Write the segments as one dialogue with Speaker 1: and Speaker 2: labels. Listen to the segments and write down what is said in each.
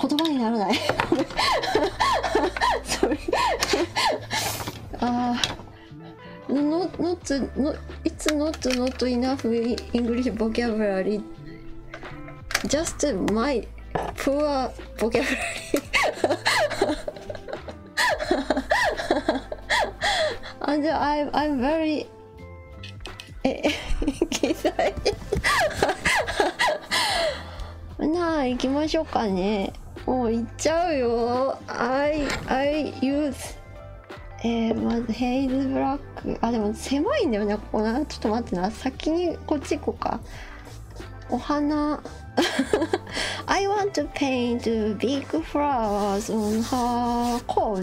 Speaker 1: 言葉にならないああ not not it's not not enough English vocabulary just my poor vocabulary あ and I'm I'm very え、きたい。なあ、行きましょうかね。もう行っちゃうよ。I, I use. えまずヘイズブラック。あ、でも狭いんだよね、ここな。ちょっと待ってな。先にこっち行こうか。お花。I want to paint big flowers on her coat.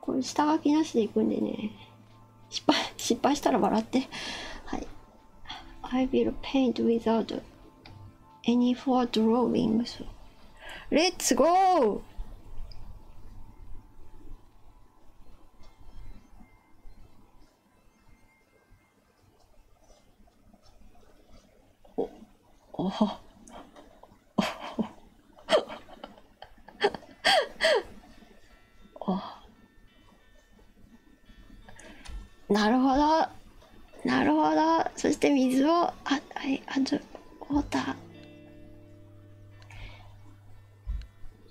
Speaker 1: これ下書きなしでいくんでね失敗失敗したら笑ってはい I will paint without any for drawings Let's go!
Speaker 2: おおほお
Speaker 1: ほなるほどなるほどそして水をあはいあちょウォーターさ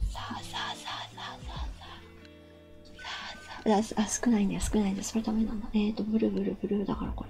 Speaker 1: あさあさあさあさあさあさああ少ないんだよ少ないんだよそれダメなんだえっ、とブルブルブルだからこれ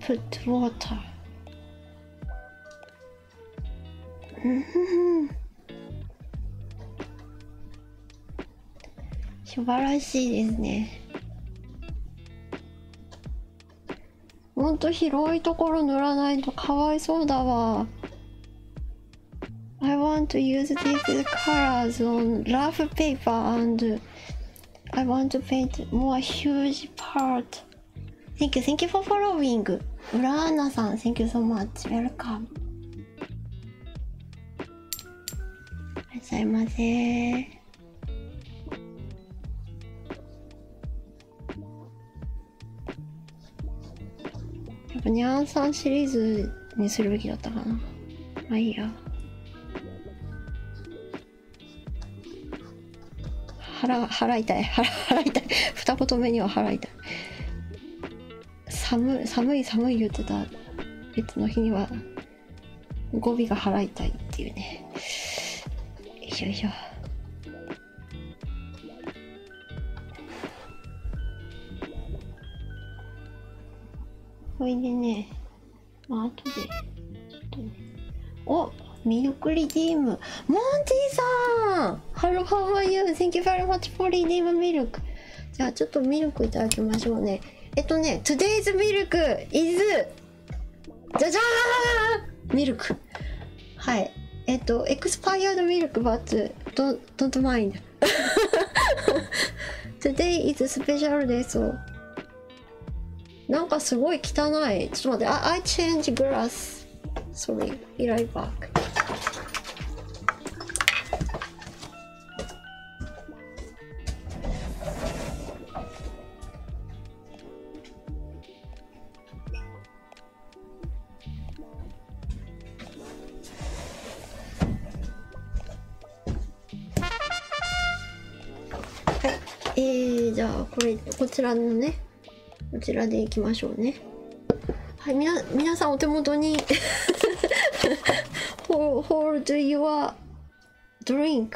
Speaker 1: put water. 素晴らしいですね。もっと広いところ塗らないとかわいそうだわ。I want to use these colors on rough paper and I want to paint more huge part. Thank you, thank you for following. ウラーナさん、Thank you so much. Welcome. いらっしゃいませ。やっぱニャンさんシリーズにするべきだったかな。まあいいや。腹、腹痛い。腹、腹痛い。二言目には腹痛い。寒い、寒い、寒い言ってた別の日には、語尾が腹痛いっていうね。よいしょよいしょ。ほいでね、まあ、後で。おミルクリディームモンティさんハローハワイユー Thank you very much for redeem milk じゃあちょっとミルクいただきましょうねえっとね Today's milk is じゃじゃーんミルクはいえっと Expired milk but don't, don't mind Today is special day so なんかすごい汚い。ちょっと待って。I, I change grass. s o r はい。えー、じゃあ、これ、こちらのね。こちらでいきましょうねはいみな皆さんお手元に Hold your drink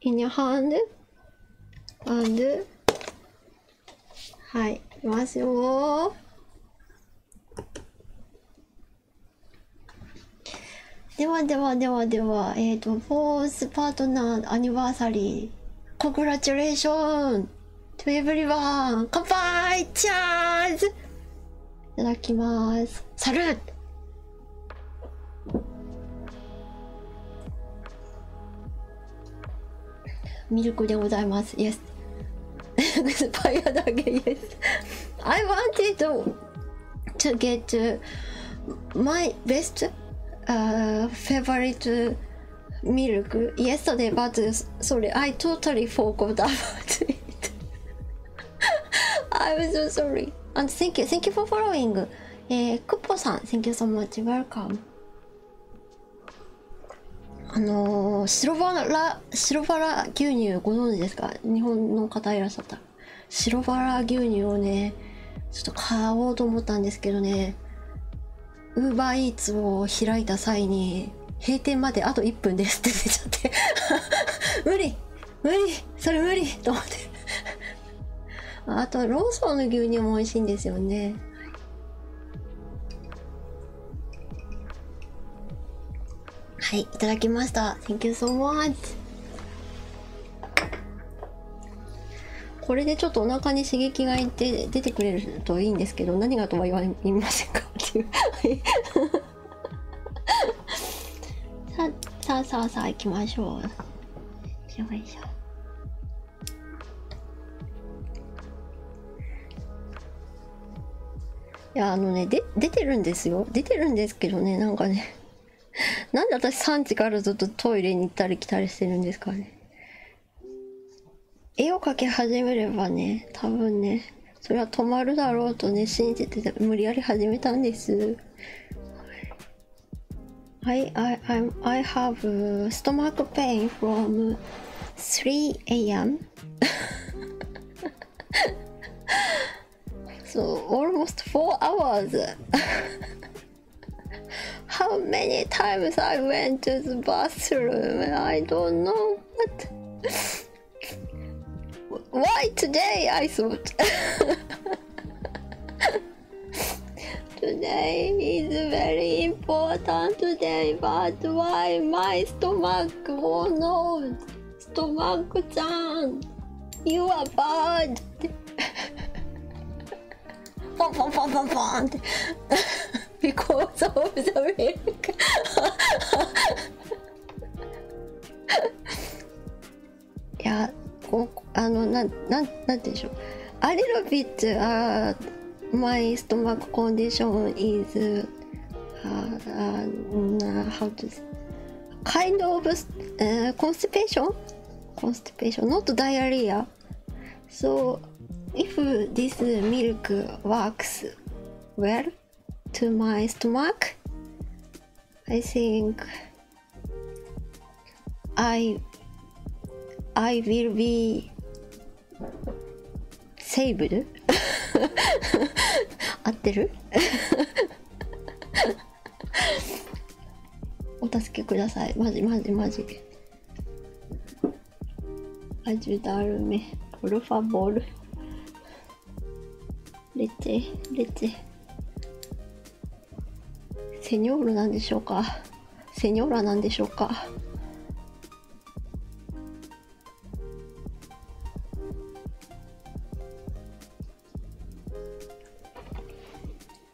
Speaker 1: in your hand and はいいきますよではではではではえっ、ー、と For House Partner Anniversary Congratulations to everyone! 乾杯チャーズいただきます。サルーミルクでございます。Yes! スパイアだけ Yes! I wanted to get my best uh, favorite milk yesterday, but sorry, I totally forgot about it. I'm so sorry. And thank you, thank you for following. えー、クッポさん、thank you so much, welcome. あのー、白バラ、白バラ牛乳ご存知ですか日本の方いらっしゃったら。白バラ牛乳をねちょっと買おうと思ったんですけどねウーバーイーツを開いた際に閉店まであと1分ですって 出ちゃって 無理無理それ無理 と思ってあとローソンの牛乳も美味しいんですよねはいいただきました Thank you so much これでちょっとお腹に刺激がいて出てくれるといいんですけど何がとは言いませんかっていうささあさあさあ行きましょうよいしょいやあのねで出てるんですよ出てるんですけどねなんかねなんで私産地からずっとトイレに行ったり来たりしてるんですかね絵を描き始めればね多分ねそれは止まるだろうとね信じてて無理やり始めたんですはい、I, I, I'm, I have stomach pain from 3am so almost 4 hours How many times I went to the bathroom? I don't know But Why today? I thought. today is very important today, but why my stomach? Oh no, stomach down. You are bad. ポンポンポンポンポンって because of the milk いやこあのなんなんなんてでしょう A little bit、uh, my stomach condition is、uh, uh, how to say kind of、uh, constipation constipation not diarrhea so if this milk works well to my stomach i think i i will be saved 合ってる お助けくださいマジマジマジアジュダルメプルファボールレチレチセニョールなんでしょうかセニョーラなんでしょうかよ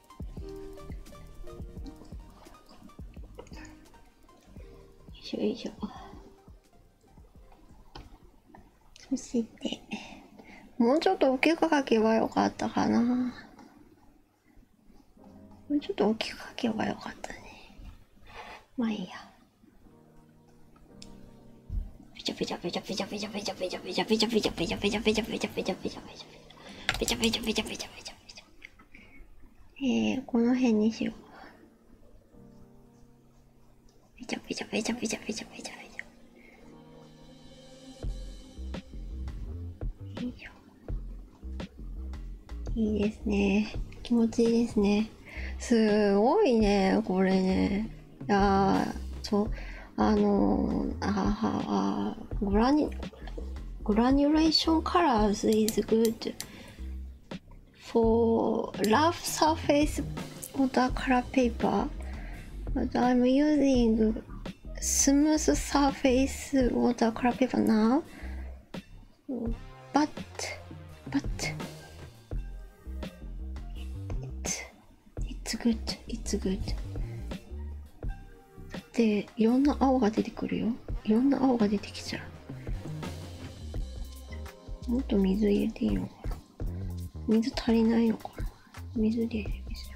Speaker 1: いしょよいしょそしてもうちょっと大きく書けばよかったかなもうちょっと大きく書けばよかったねまあいいやペチャペチャペチャペチャペチャペチャペチャペチャペチャペチャペチャペチャペチャペチャペチャペチャペチャペチャべちゃべちゃべちゃべちゃべちゃべえこの辺にしよう。べちゃべちゃべちゃべちゃべちゃべちゃべいいですね。気持ちいいですね。すごいね、これね。ああ、そう、あのー、あはあ、ご覧に、Granulation colors is good for rough surface watercolor paper, but I'm using smooth surface watercolor paper now. But, but, it, it's good, it's good. でいろんな青が出てくるよいろんな青が出てきちゃうもっと水入れていいのかな水足りないのかな水で水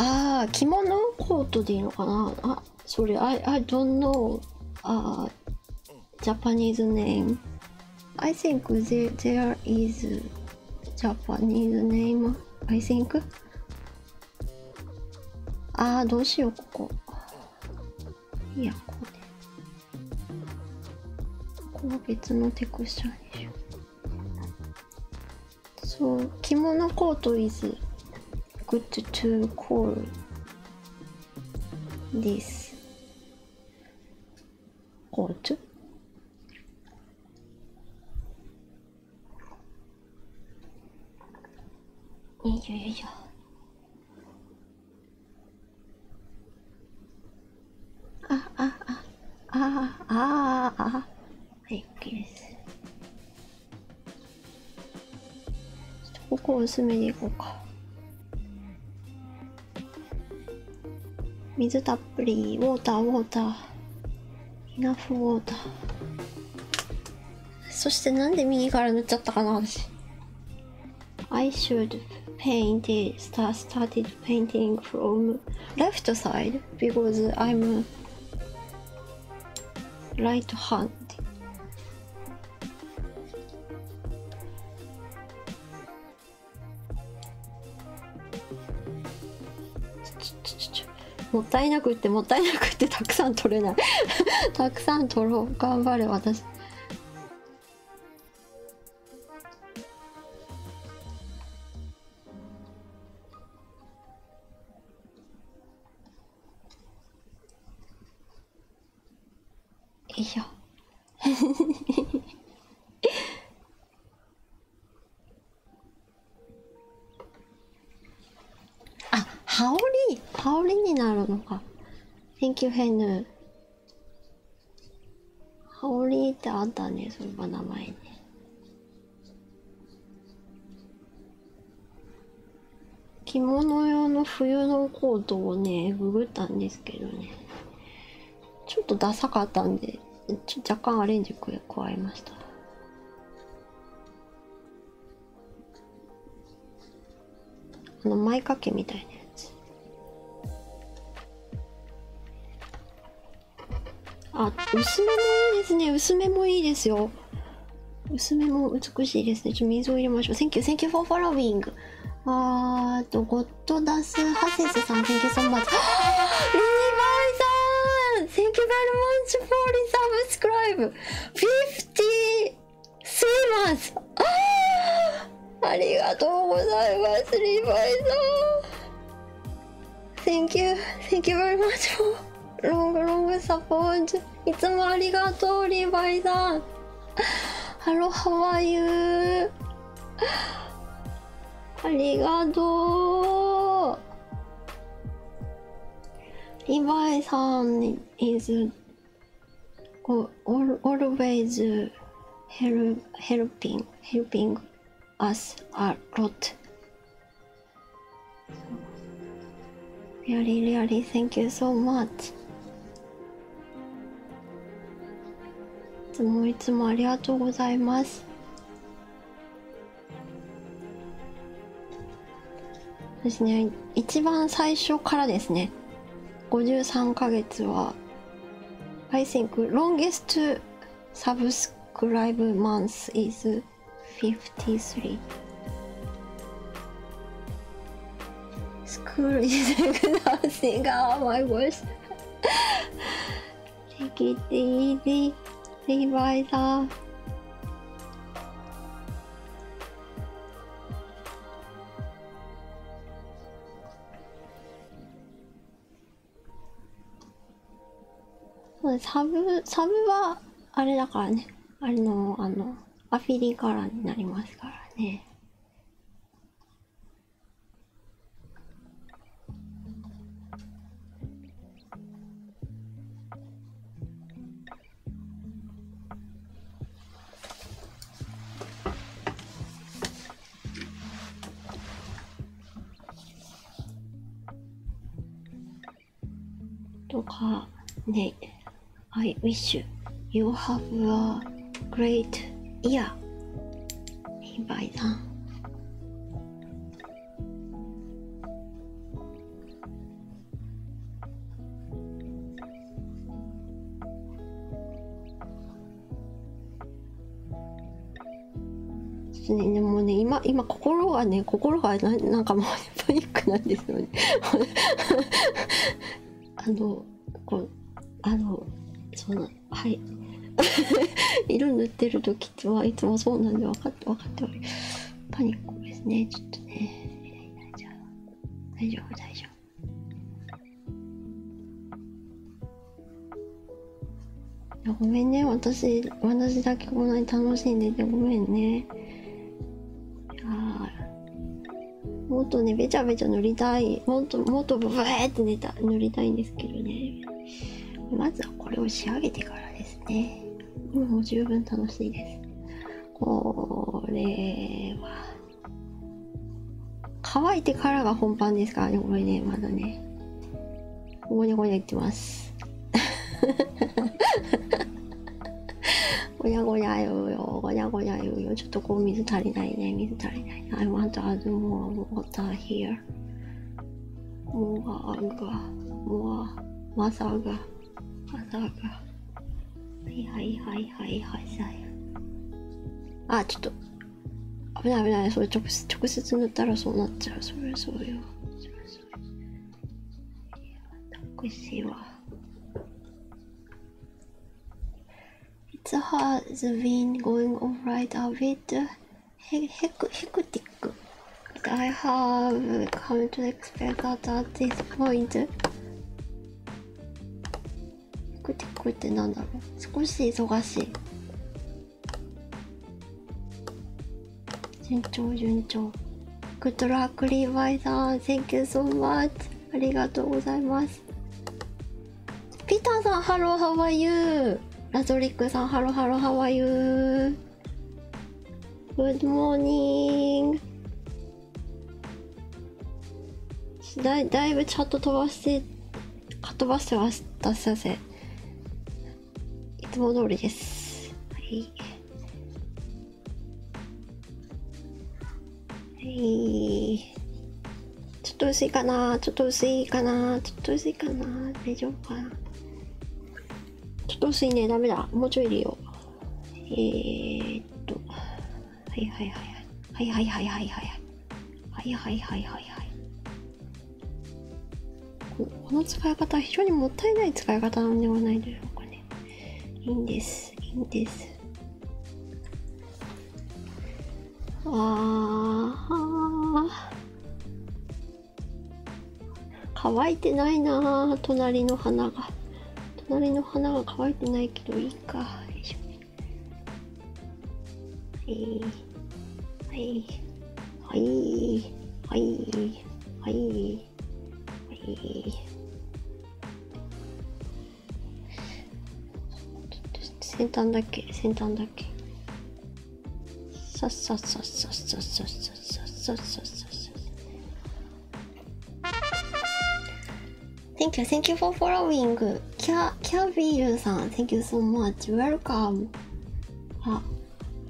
Speaker 1: ああ着物コートでいいのかなあそれ I, I don't know あ Japanese name. I think there, there is Japanese name. I think. ああ、どうしよう、ここ。いや、ここね。ここは別のテクスチャーにしよう。そう、着物コート is good to call this. Rot. Ja, ja, ja. Ah, ah, ah. Ah, ah, ah. はい、OK です。ちょっとここ薄めでいこうか。水たっぷりウォーターウォーターイナフウォーターそしてなんで右から塗っちゃったかな私 I should paint it start started painting from left side because I'm right hand もったいなくってもったいなくってたくさん取れない たくさん取ろう頑張れ私よ
Speaker 2: いしょ
Speaker 1: あ羽織羽織になるのか Thank you, ヘヌ羽織ってあったねそば名前に着物用の冬のコートをねググったんですけどねちょっとダサかったんで若干アレンジ加えましたあの前掛けみたいなやつあ薄めもいいですね薄めもいいですよ薄めも美しいですねちょっと水を入れましょう Thank you, thank you for following あーとごトダスハセスさん Thank you so much リニバーさん Thank you very much for resubscribe 50 s u m ありがとうございますリニバーさん Thank you Thank you very much for long long support いつもありがとうリヴァイさんハロハワイユーありがとうリヴァイさん is always help, helping, helping us a lot. Really, really, thank you so much. いつもいつもありがとうございますそうですね一番最初からですね53ヶ月は I think longest subscribe month is 53 School is announcing how my voice Take ィ、t easy, Levi's サブ、サブは、あれだからね。あれの、あの、アフィリカラーになりますからね。とかね I wish you have a great year リヴァイね、でもね今今心がね心がななんかもう、ね、パニックなんですよね あのこうあのそうなんはい 色塗ってる時はいつもそうなんで分かって分かっておりパニックですねちょっとね大丈夫大丈夫いやごめんね私私だけこんなに楽しんでてごめんねいやもっとねべちゃべちゃ塗りたいもっともっとブブーって寝た塗りたいんですけどねまずはこれを仕上げてからですねもう十分楽しいですこれは乾いてからが本番ですからねこれねまだねごにゃごにゃ言ってますごにゃごにゃ言うよごにゃごにゃ言うよちょっとこう水足りないね水足りないね I want to add more water here more agar m o r はいはいはいはいはいはあちょっと危ない危ないそれ直接直接塗ったらそうなっちゃうそれそうよそれそうよ私は It's hard, the wind going alright a bit hectic, but I have come to expect that at this point. hectic ってなんだろう少し忙しい。順調順調。Good luck, Levi さん。Thank you so much. ありがとうございます。ピーターさん、ハロー、ハワイユー。ラゾリックさん、ハロー、ハロー、ハワイユー。Good morning. だだいぶチャット飛ばしてかっ飛ばしてましたすいませんいつも通りですはいはいちょっと薄いかなちょっと薄いかなちょっと薄いかな大丈夫かなちょっと薄いねダメだもうちょい入れようえっとはいはいはいはいはいはいはいはいはいはいはいはいはいこの使い方は非常にもったいない使い方なんではないでしょうかねいいんですいいんですあ乾いてないな隣の花が隣の花が乾いてないけどいいかよいしょはいはいはいはいはいはい先端だけ先端だけさっさっさっさっさっさっさっさっさっさ Thank you, thank you for following. キャキャビールさん、Thank you so much. Welcome. あ、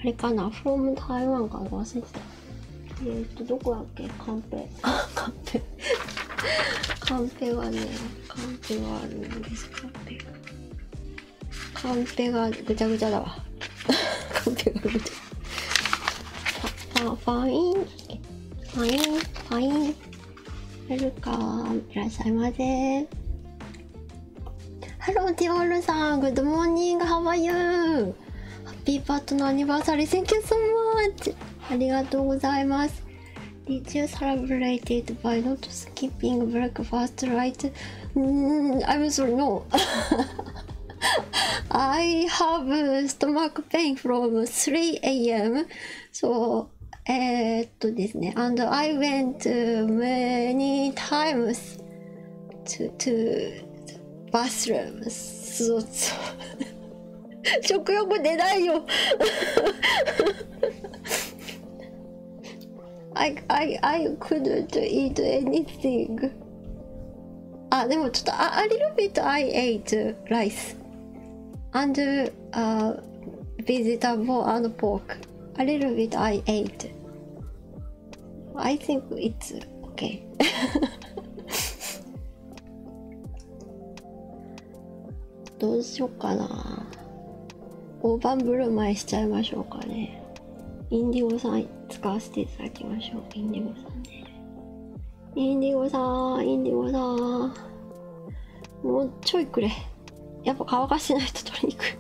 Speaker 1: あれかな ?from 台湾かな忘れてた。えー、っと、どこだっけカンペ。あ、カンペ。カンペはね、カンペあるんですかねカがぐちゃぐちゃだわ カンがぐちゃファファインフインファインウルカいらっしゃいませハローティオールさんグッドモーニングハワイユーハッピーパートのアニバーサリーセンキューソーマーチありがとうございます Did you celebrate it by not skipping breakfast, right? Mm, I'm sorry, no. I have stomach pain from 3 a.m. So, eh, and I went many times to, to bathrooms. So, so. 食欲出ないよ I, I, I couldn't eat anything. Ah, a, a little bit I ate rice and uh, vegetable and pork. A little bit I ate. I think it's okay. どうしようかな大盤振る舞いしちゃいましょうかねインディゴさん使わせていただきましょうインディゴさんねインディゴさんインディゴさんもうちょいくれやっぱ乾かしてないと取りにくい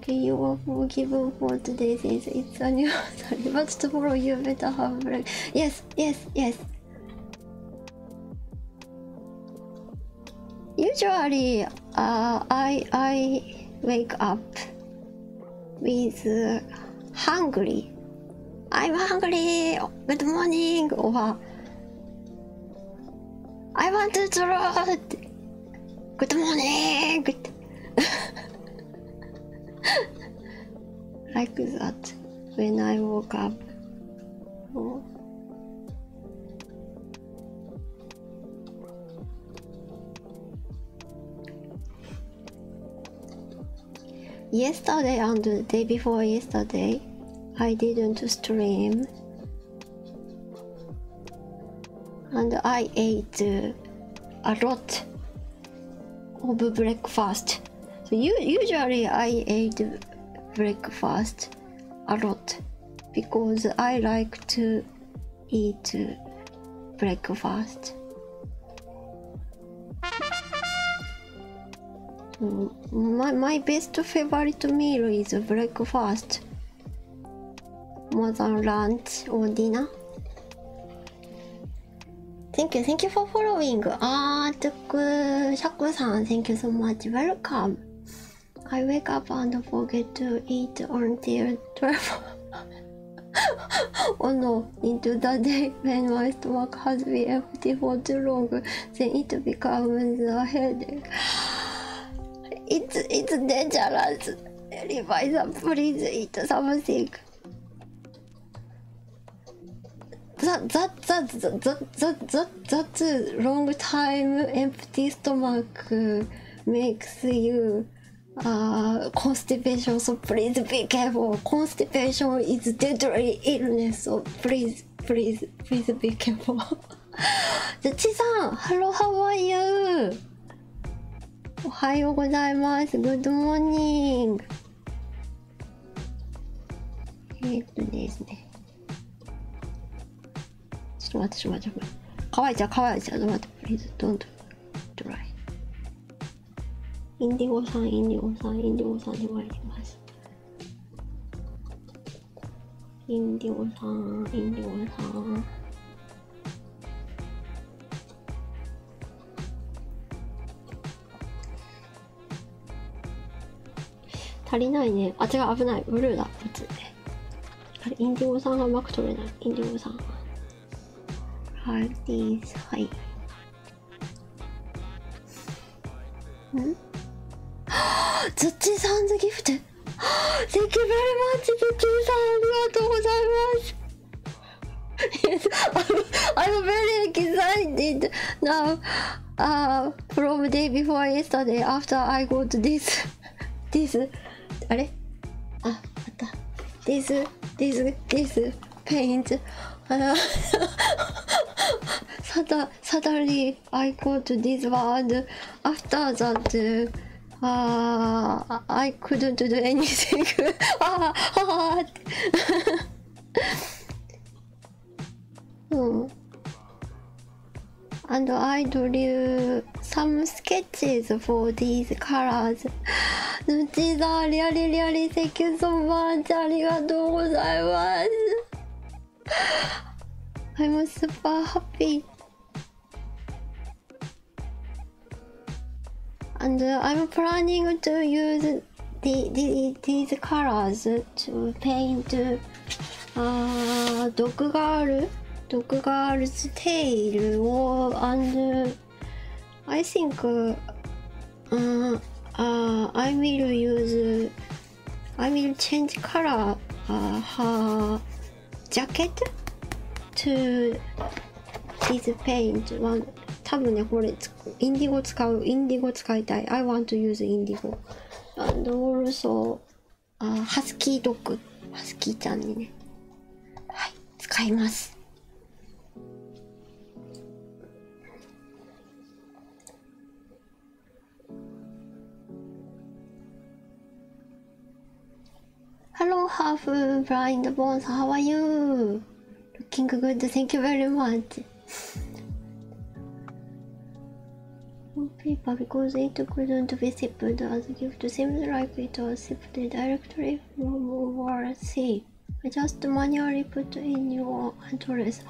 Speaker 1: Okay, you were forgiven for today's is Yes, yes, yes. Usually, uh, I I wake up with hungry. I'm hungry. Good morning. Or I want to draw. Good morning. Good. like that when I woke up. Oh. Yesterday and the day before yesterday, I didn't stream and I ate uh, a lot of breakfast so usually I eat breakfast a lot because I like to eat breakfast. My, my best favorite meal is breakfast more than lunch or dinner. Thank you, thank you for following. Ah, Shaku san, thank you so much. Welcome. I wake up and forget to eat until 12. oh no, into the day when my stomach has been empty for too long, then it becomes a headache. It's, it's dangerous. Revisa, please eat something. That, that, that, that, that, that, that, that long time empty stomach makes you uh, constipation, so please be careful. Constipation is deadly illness, so please, please, please be careful. じゃ、ちさん、Hello, how are you? おはようございます。Good morning. えっとですね。ちょっと待って、ちょっと待って、乾いちゃう、乾いちゃう。ちょっと待って、please don't d r インディゴさん、インディゴさん、インディゴさんで参ります。インディゴさん、インディゴさん。足りないねあ違う危ないブルーだこっちあれインディゴさんがうまく取れないインディゴさんがハーはいんズッチーさんズギフト Thank you v e ズッチーさんありがとうございます y e ああ、from day before yesterday after I go to this this あれあ、あった this this this paint あら suddenly I go to this word after that ああ、I couldn't do anything ああ、ああうん。And I drew some sketches for these colors. ぬちだ、リアリリアリ、セキュソバーチありがとうございます。I'm super happy. And I'm planning to use the, the, these colors to paint uh, dog girl dog girl's tail or and I think uh, uh, I will use I will change color uh, her jacket to this paint one 多分ねこれインディゴ使う。インディゴ使いたい。I want to use indigo. And also, あハスキードッグ。ハスキーちゃんにね。はい、使います。Hello, half blind bones. How are you? Looking good, thank you very much. On paper, because it couldn't be shipped as a gift, seems like it was shipped directory from overseas. I just manually put in your address.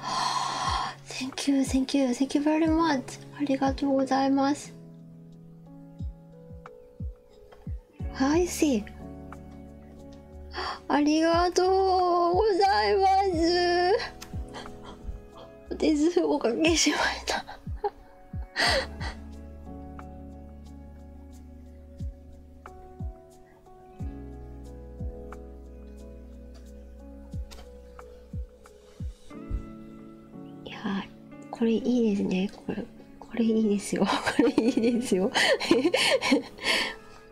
Speaker 1: thank you, thank you, thank you very much. Arigatou gozaimasu. I see. ありがとうございますおかけしましたいやこれいいですねこれこれいいですよこれいいですよ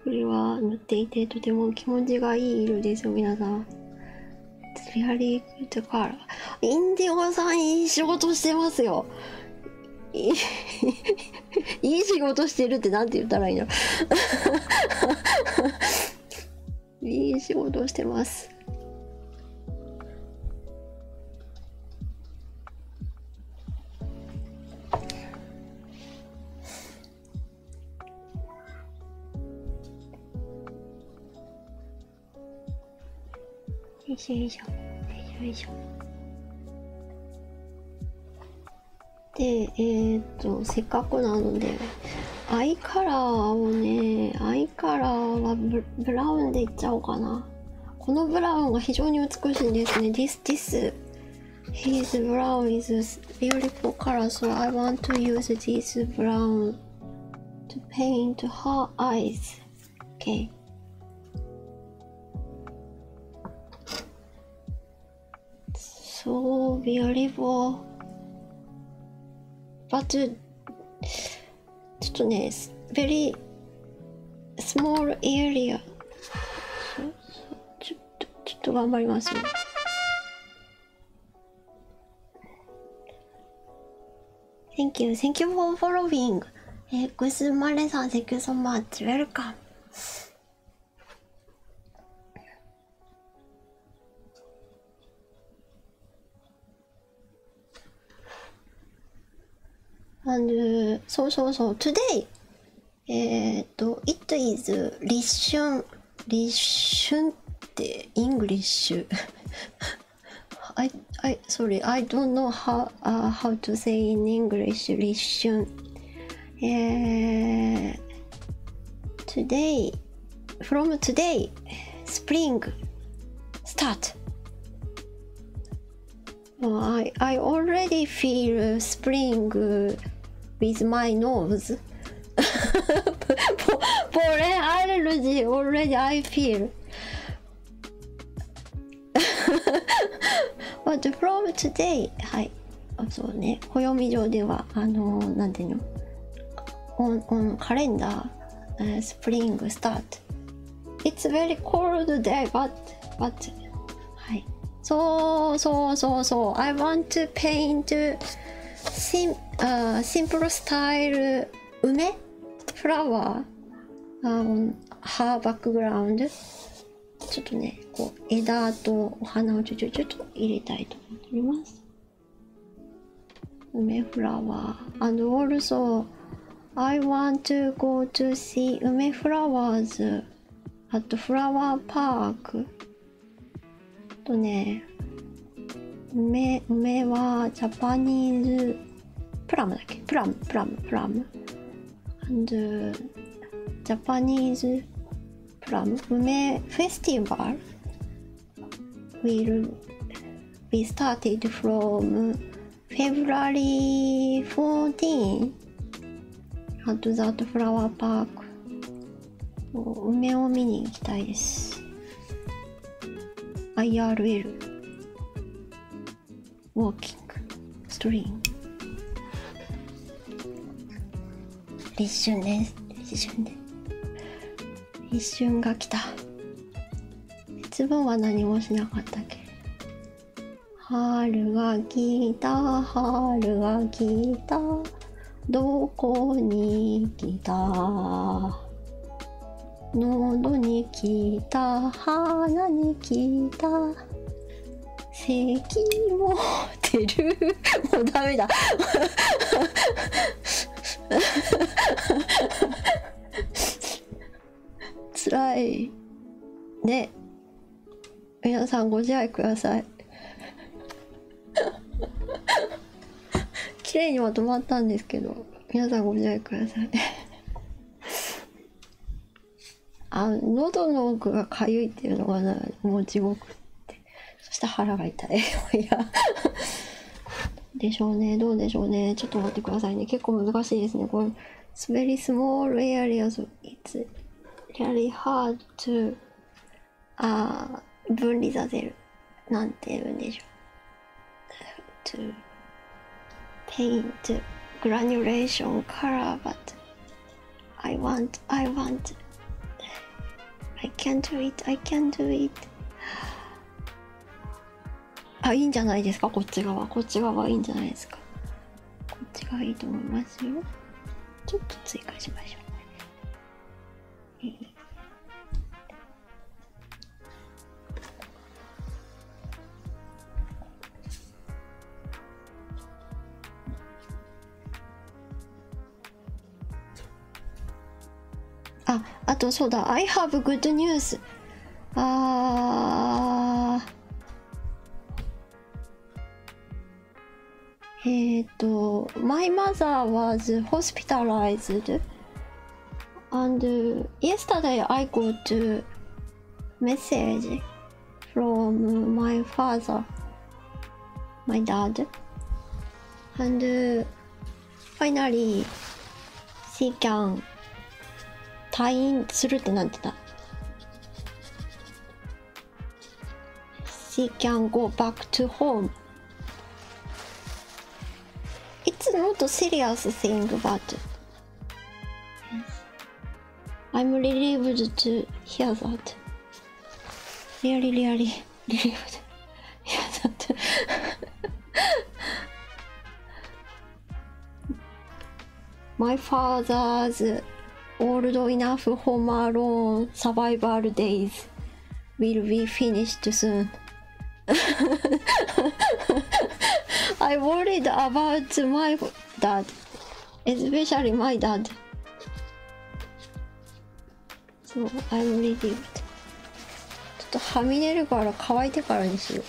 Speaker 1: これは塗っていてとても気持ちがいい色ですよ皆さん。ツヤリーグッドインディゴさんいい仕事してますよ。いい いい仕事してるって何て言ったらいいの いい仕事してます。
Speaker 2: よいしょよいしょ
Speaker 1: でえっとせっかくなのでアイカラーをねアイカラーはブラウンでいっちゃおうかなこのブラウンが非常に美しいんですねディスティス。his brown is a beautiful color so i want to use this brown to paint her eyes okay so beautiful but ちょっとね uh, very small area ちょちょっと頑張りますねセンキューセンキューフォーフォローィングえグスマレさんセンキューソンマーツウェルカムあのそうそうそう today えっ、ー、と、It is 立春。立春ってイングリッシュ。I, I, sorry, I don't know how,、uh, how to say in English 立春。えー、today, from today, spring start. I, I already feel spring with my nose. Foreign allergy already I feel. But from today, はい。あそうね。暦上では、あのー、なんていうのオン、オン、カレンダー、スプリング、スタート。It's very cold day, but, but, はい。そうそうそうそう。I want to paint sim、uh, simple style 梅 flower、um, her background ちょっとね、こう枝とお花をちょちょちょっと入れたいと思っております。梅フラワー。And also, I want to go to see 梅フラワーズ at flower park とね、梅、梅はジャパニーズ、プラムだっけプラム、プラム、プラム。And, ジャパニーズプラム梅フェスティバル will be started from February 14 at that flower park 梅を見に行きたいです IRL ウォーキングストリーム立春です立春で一瞬が来た節分は何もしなかったっけ春が来た春が来たどこに来た喉にきた鼻にきた咳も出る もうダメだつら いね皆さんご自愛ください綺麗にまとまったんですけど皆さんご自愛くださいあ喉の奥がかゆいっていうのがもう地獄ってそして腹が痛いいやでしょうねどうでしょうねちょっと待ってくださいね結構難しいですねこれ It's very small a r e リ s リ t s r ト？a ああ、分離させる。なんて言うんでしょう。paint granulation color, but I want, I want. I can't do it, I can't do it. あ、いいんじゃないですか、こっち側。こっち側はいいんじゃないですか。こっちがいいと思いますよ。ちょっと追加しましょう。あ、あとそうだ、I have good news! あーえっ、ー、と、My mother was hospitalized and yesterday I got a message from my father, my dad, and finally she can 退院するってなってた She can go back to home. It's not a serious thing, but I'm relieved to hear that. Really, really relieved. Yeah, that. My father's old enough home alone survival days. will be finished soon. I worried about my dad, especially my dad. So I'm relieved. ちょっとはみ出るから乾いてからにしよう。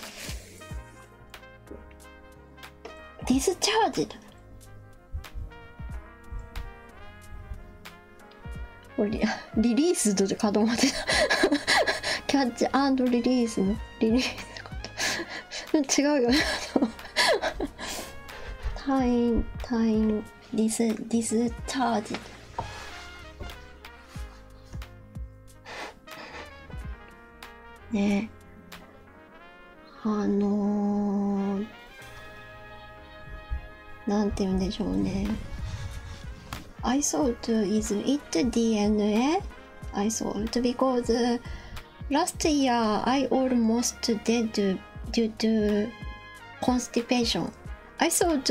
Speaker 1: Discharged. リ リリースドかどまってたキャッチアンドリリースのリリースのこと違うよねタイムタイの、ディスディスチャージねあのなんて言うんでしょうね I thought is it DNA? I thought because last year I almost d e d due to constipation. I thought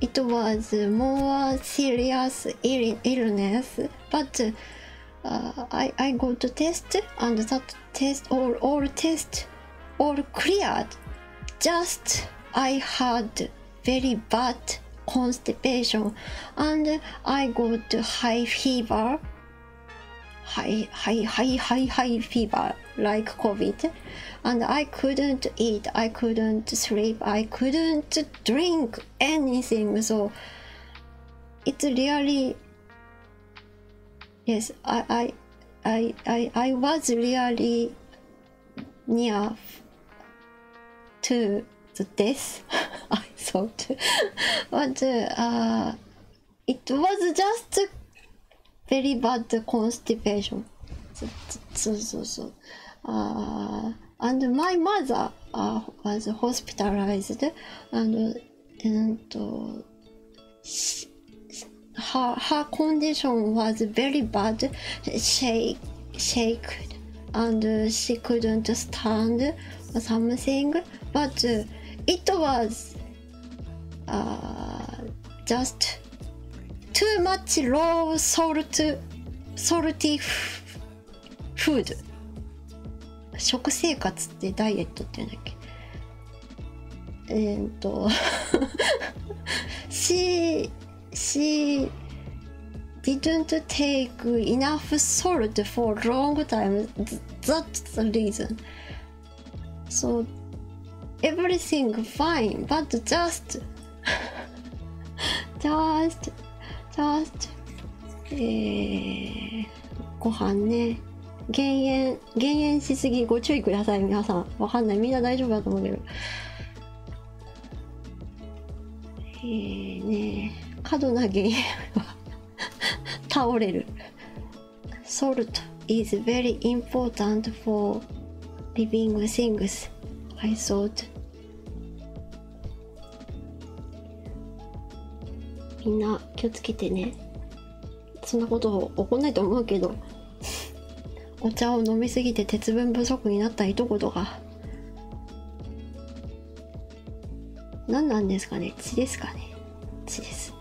Speaker 1: it was more serious illness, but uh, I, I go to test and that test or all test or cleared. Just I had very bad constipation and I got high fever. High, high, high, high, high fever like COVID, and I couldn't eat, I couldn't sleep, I couldn't drink anything. So it's really Yes, I, I, I, I was really near to the death, I thought. but uh, it was just very bad constipation. So, so, so. Uh, and my mother uh, was hospitalized and, and her, her condition was very bad. She shaked and she couldn't stand or something. But it was uh, just too much low salt, salty food. 食生活ってダイエットって言うんだっけえー、っと she she didn't take enough salt for long time that's the reason so everything fine but just just just えー、ご飯ね減塩減塩しすぎご注意ください皆さんわかんないみんな大丈夫だと思うけどえーね過度な減塩は倒れる Salt is very important for living things I thought みんな気をつけてねそんなこと起こんないと思うけど お茶を飲みすぎて鉄分不足になった一言が何なんですかね血ですかね血です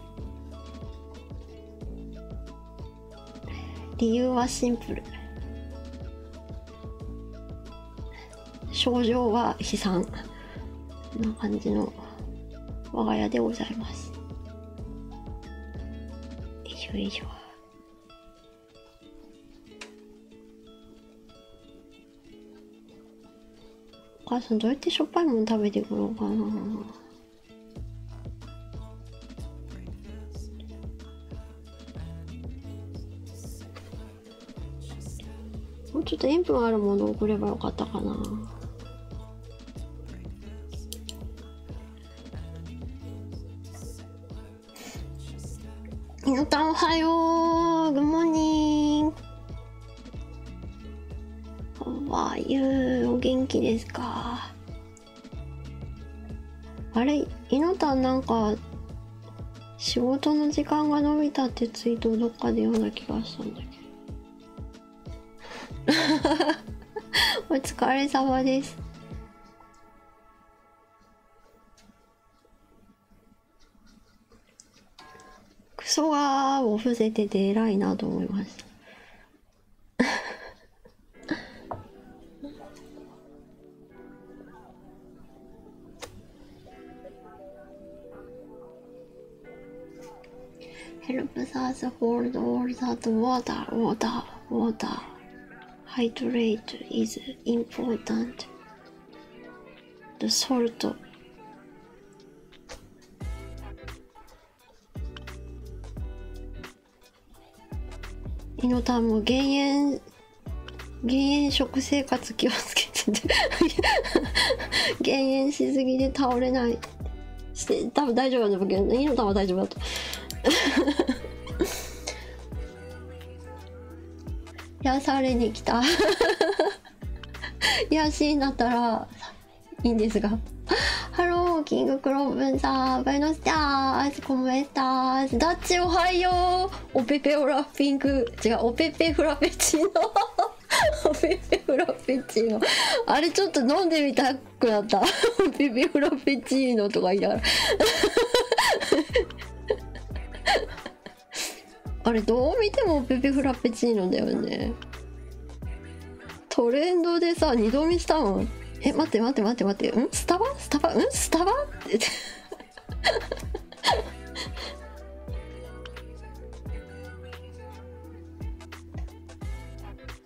Speaker 1: 理由はシンプル症状は悲惨な感じの我が家でございます。よいしょお母さんどうやってしょっぱいもの食べてくろうかなもうちょっと塩分あるものを送ればよかったかな皆さんおはようグモニーンわあゆうお元気ですかあれいのなんか仕事の時間が伸びたってツイートどっかで読んだ気がしたんだけど お疲れ様ですクソがを伏せてて偉いなと思いました Help us hold all that water, water, water. Hydrate is important. The salt. イノタンも減塩減塩食生活気をつけてて減塩しすぎで倒れないして多分大丈夫なと思うけどイの玉大丈夫だと癒 やされに来た癒 やシーンったらいいんですがハローキングクローブンさんバイノスターアイスコメスタースダッチおはようおぺぺおラッピング、違うおぺぺフラペチーノおぺぺフラペチーノあれちょっと飲んでみたくなった ビビオラペチーノとか言いながら あれどう見てもペペフラペチーノだよねトレンドでさ二度見したもんえ待って待って待って待ってんスタバスタバんスタバって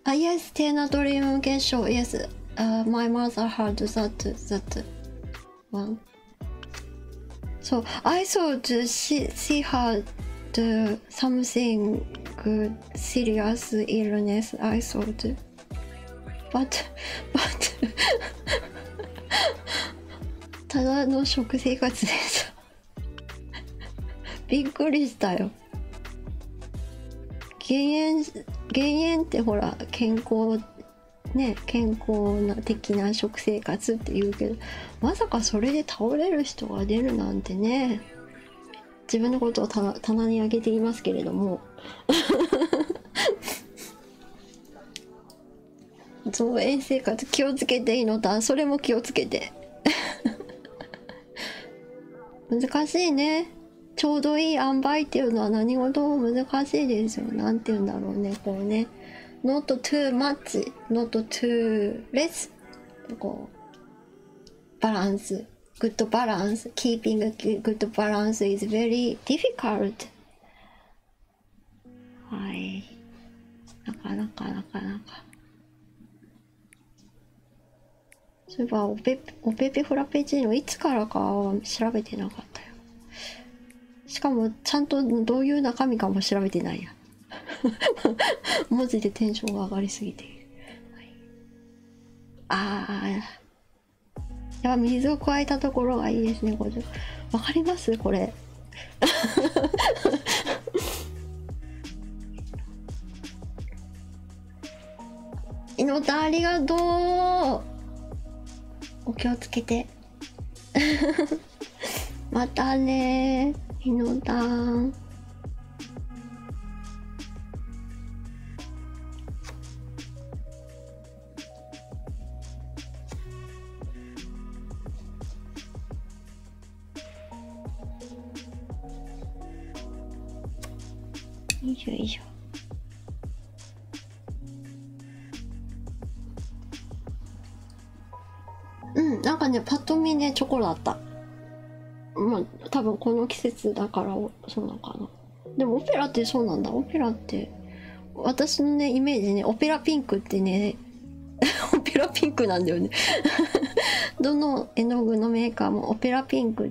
Speaker 1: Uh, yes, Tena Dream Gesho. Yes, uh, my mother had that, that one. So I thought she, she had something good, serious illness, I thought. But, but, ただの食生活ですびっくりしたよ減塩減塩ってほら健康ね健康な的な食生活って言うけどまさかそれで倒れる人が出るなんてね自分のことを棚に上げていますけれども増園 生活気をつけていいのだそれも気をつけて難しいねちょうどいい塩梅っていうのは何事も難しいですよ何て言うんだろうねこうね not too much not too less こうバランス good balance keeping a good balance is very difficult はいなかなかなかなかそういえばオペおフラペチーノいつからかは調べてなかったよしかもちゃんとどういう中身かも調べてないや 文字でテンションが上がりすぎてああやっぱ水を加えたところがいいですねこれ分かりますこれ 猪のありがとうお気をつけて またね猪のたんよいしょよいしょうんなんかねパッと見ねチョコだったまあ多分この季節だからそうなのかなでもオペラってそうなんだオペラって私のねイメージねオペラピンクってね オペラピンクなんだよね どの絵の具のメーカーもオペラピンク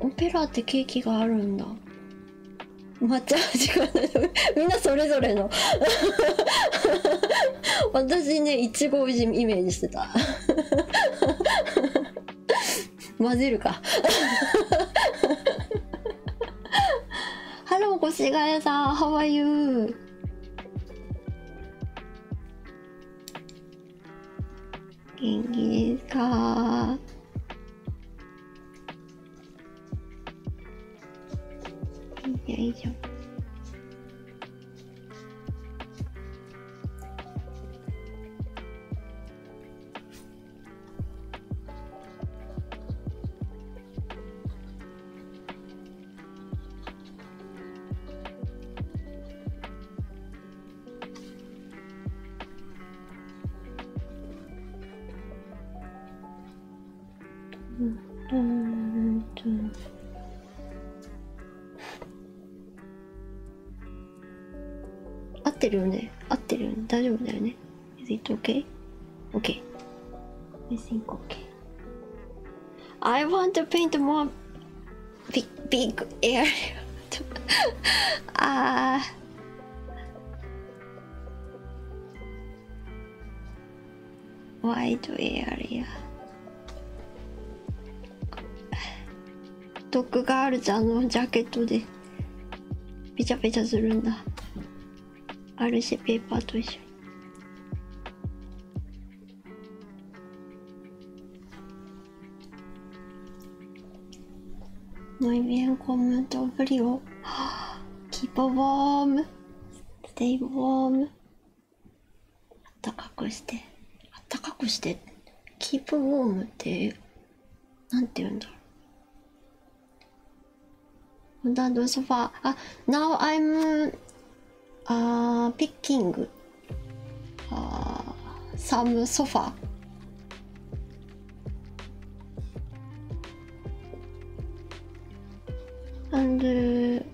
Speaker 1: オペラってケーキがあるんだ抹茶味がみんなそれぞれの 私ねいちごをイメージしてた 混ぜるかハロー越谷さん How are you? 元気ですかいいじゃいうんちょ合ってるよね合ってるよね大丈夫だよね Is it okay? Okay. I think okay. I want to paint more ビ、i g big area. Ah. uh... wide area. ドッグガールズあのジャケットでペチャペチャするんだある c ペーパーと一緒に Muy bien, comento frío. Keep warm. Stay warm. あったかくして。あったかくして。Keep warm って、なんて言うんだろう。On the sofa. Ah, now I'm uh, picking uh, some sofa. And, uh,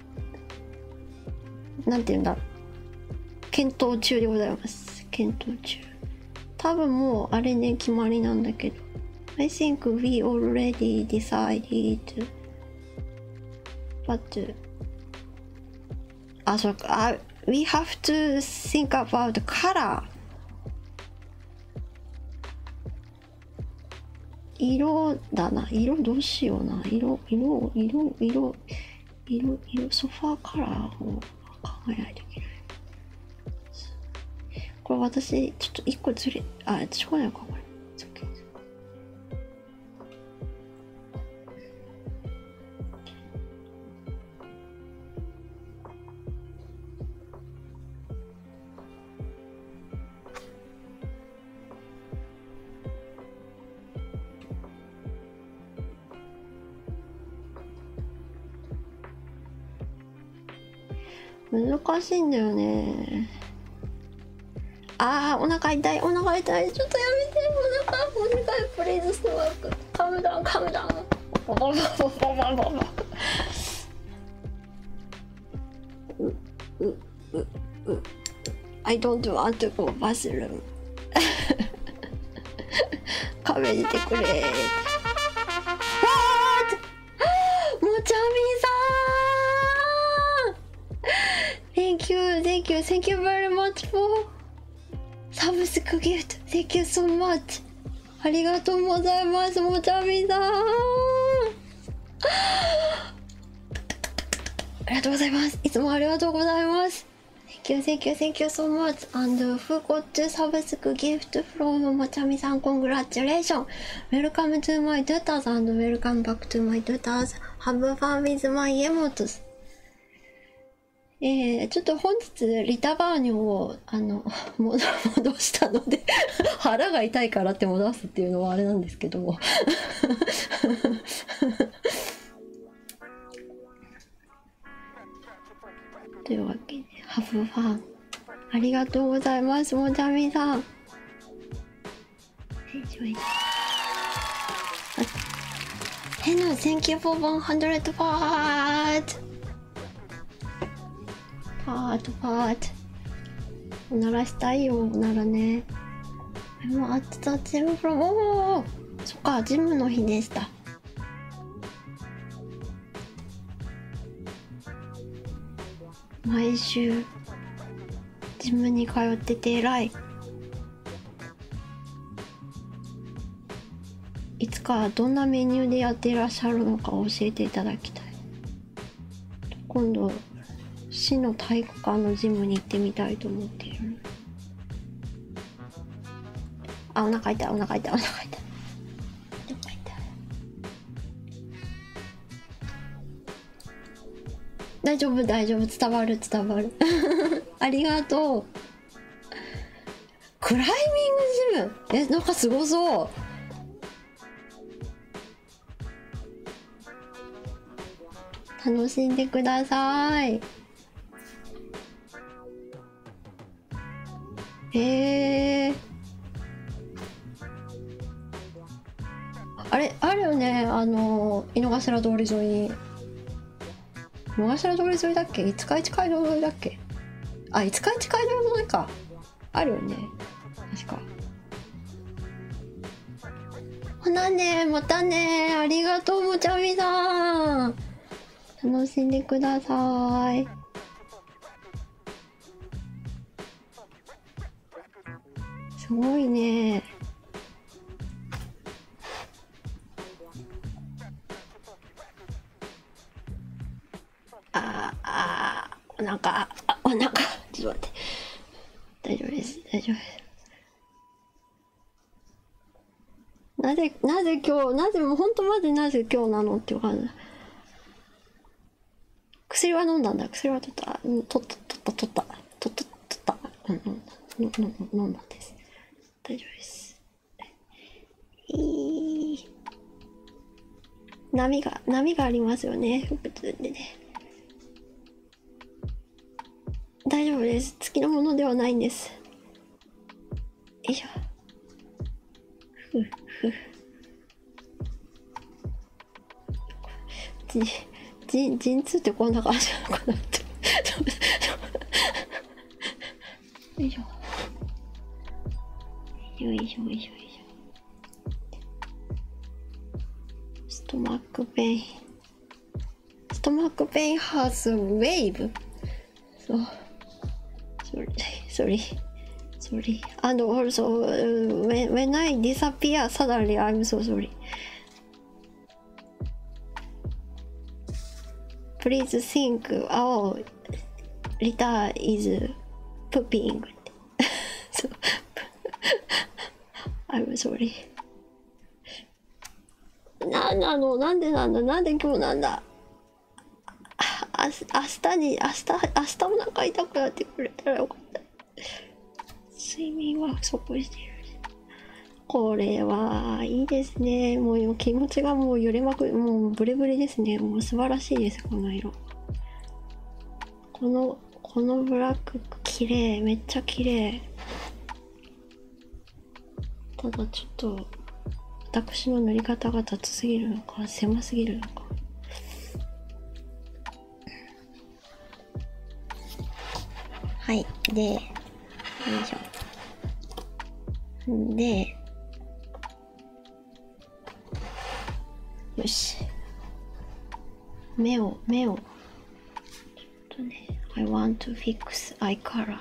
Speaker 1: なんて言うんだ検討中でございます。検討中。多分もうあれね、決まりなんだけど。I think we already decided, but あ、そうか。We have to think about color. 色だな。色どうしような。色、色、色、色、色、色、ソファーカラーを考えないといけない。これ私、ちょっと一個ずれ、あ、しょうがないか、これ。難しいんだよねあーお腹痛いお腹痛いちょっとやめてお腹う願いプレイズスワークカムダウンカムダウンボボボボボボボボうううう I don't want to go bathroom カメ出てくれわーもちゃみさん Thank you, thank you, thank you very much for サブスクギフト Thank you so much! ありがとうございますもちゃみさんありがとうございますいつもありがとうございます Thank you, thank you, thank you so much And who got to subscribe gift from もちゃみさん Congratulations! Welcome to my daughters and welcome back to my daughters Have fun with my emotes えー、ちょっと本日リタバーニョをあの 戻したので 腹が痛いからって戻すっていうのはあれなんですけども というわけでハブファンありがとうございますもちゃみさん Hello, thank you for 100 part! Part, p a おならしたいよ、おならね。でも、あっちだ、ジムフロおおそっか、ジムの日でした。毎週ジムに通ってて偉いいつかどんなメニューでやってらっしゃるのか教えていただきたい今度市の体育館のジムに行ってみたいと思っているあお腹かいた、お腹かいた、お腹かいお腹痛い大丈夫大丈夫伝わる伝わる ありがとうクライミングジムえなんかすごそう楽しんでくださいへえあれあるよねあの井の頭通り沿いに茂頭通り沿いだっけ五日市街道沿いだっけあ五日市街道沿いかあるよね確かほなねまたねありがとうもちゃみさん楽しんでくださいすごいねああお腹あお腹ちょっと待って大丈夫です大丈夫ですなぜなぜ今日なぜもうほんとまでなぜ今日なのっていう感じ薬は飲んだんだ薬は取った取った取った取った取った取った飲んだ飲んだんです大丈夫ですい。波が波がありますよね通でね大丈夫です月のものではないんですよいしょふふじじ陣痛ってこんな感じなのかなってよいしょよいしょよいしょよいしょストマックペインストマックペインハースウェイブそうそれそれ sorry. And also, uh, when, when I disappear suddenly, I'm so sorry. プリ e a s e think, イズ。プ i t a is pooping. なんなのなんでなんだなんで今日なんだあ明日に明日明日お腹痛くなってくれたらよかった睡眠はそこしてるこれはいいですねもう気持ちがもう揺れまくもうブレブレですねもう素晴らしいですこの色このこのブラック綺麗めっちゃ綺麗ただちょっと私の塗り方が雑すぎるのか狭すぎるのかはいでよいしょんでよし目を目をちょっとね I want to fix eye color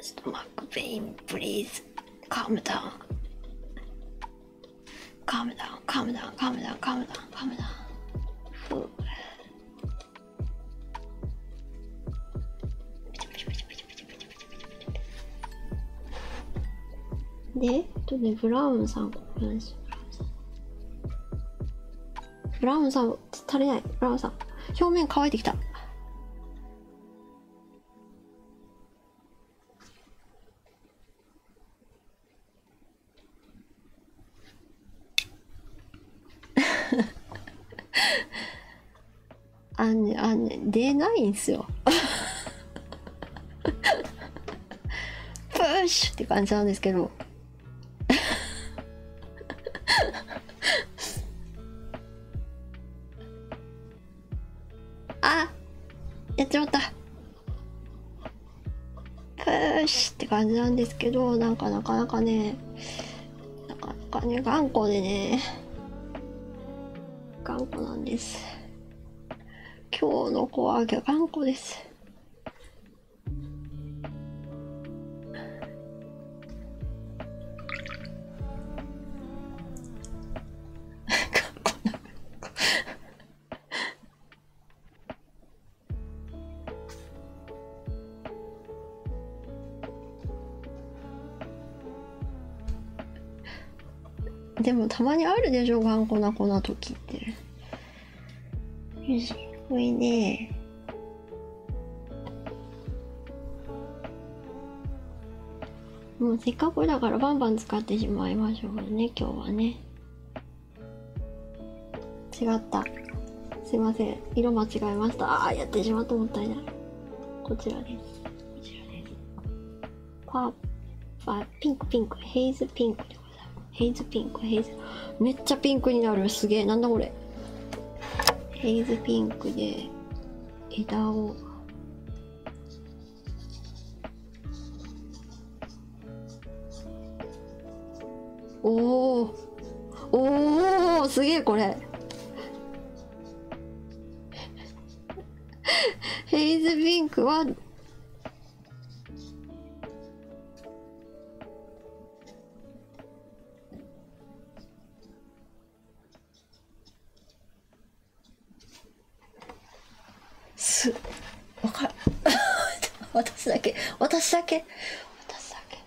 Speaker 1: ちょっ Mac pain please calm down calm down calm down calm down calm down calm
Speaker 2: down
Speaker 1: で、えとね、ブラウンさん、ブラウンさん。ブラウンさん、足りない。ブラウンさん。表面乾いてきた。あんねあんね出ないんすよプッシュって感じなんですけどもあやっちまったプーシって感じなんですけどなんかなかなかねなかなかね頑固でね頑固なんです今日の子は頑固です頑固。でもたまにあるでしょ頑固な子な時ってよしこれでもうせっかくだからバンバン使ってしまいましょうね今日はね。違ったすいません色間違えましたあやってしまったもったいないこちらですこちらですパーパーピンクピンクヘイズピンクでございますヘイズピンクヘイズめっちゃピンクになるすげえなんだこれヘイズピンクで枝をおおおおすげえこれヘイズピンクはすわか 私だけ私だけ私だけ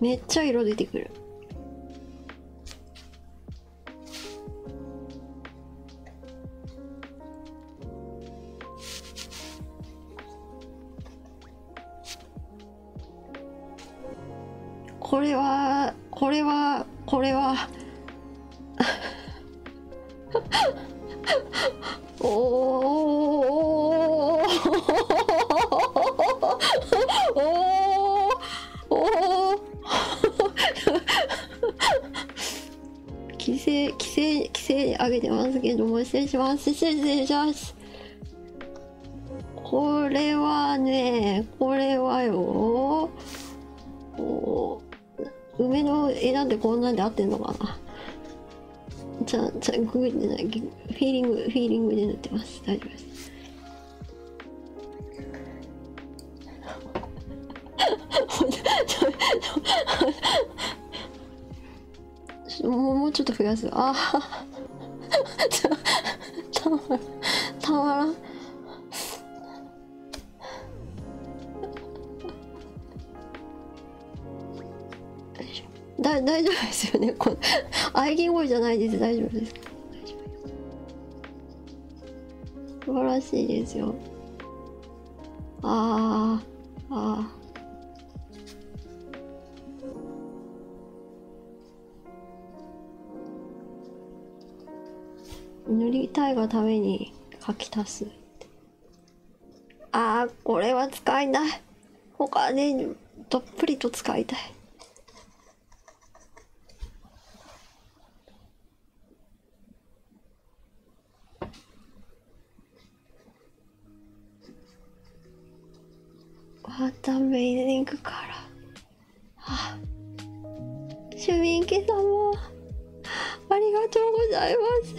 Speaker 1: めっちゃ色出てくるこれはこれはこれは お おおお。おお。お お。規制規制規制上げてますけども失礼します失礼しますこれはね、これはよ。梅の枝でこんなんで合ってんのかなちゃん、ゃググっフィーリング、フィーリングで塗ってます。大丈夫です。もうもうちょっと増やすああたまらんたまらんす。だ大丈夫ですよねこ喘ぎ声じゃないです大丈夫です素晴らしいですよああああ塗りたいがために書き足すああこれは使えない他にどっぷりと使いたいまたメイリングからあ主民家様ありがとうございます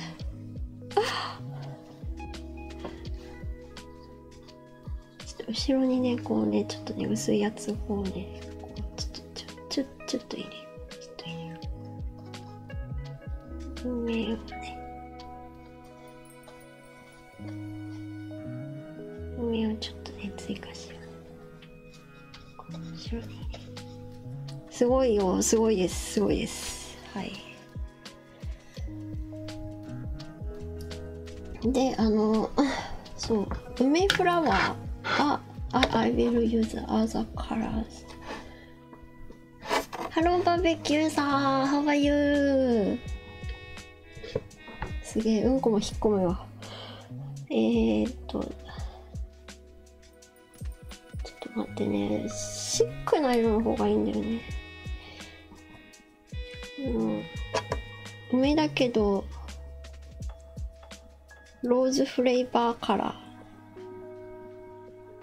Speaker 1: ちょっと後ろにねこうねちょっとね薄いやつをこうねこうちょちょちょちょっと入れるちょっと入れう梅をね梅をちょっとね追加しようすごいよすごいですすごいですはいであの そう梅フラワーあ、あ、will use other colors Hello バーベキューさん How are you? すげえ、うんこも引っ込むわ。えっと、ちょっと待ってね、シックな色の方がいいんだよね。うん、梅だけど、ローズフレーバーカラ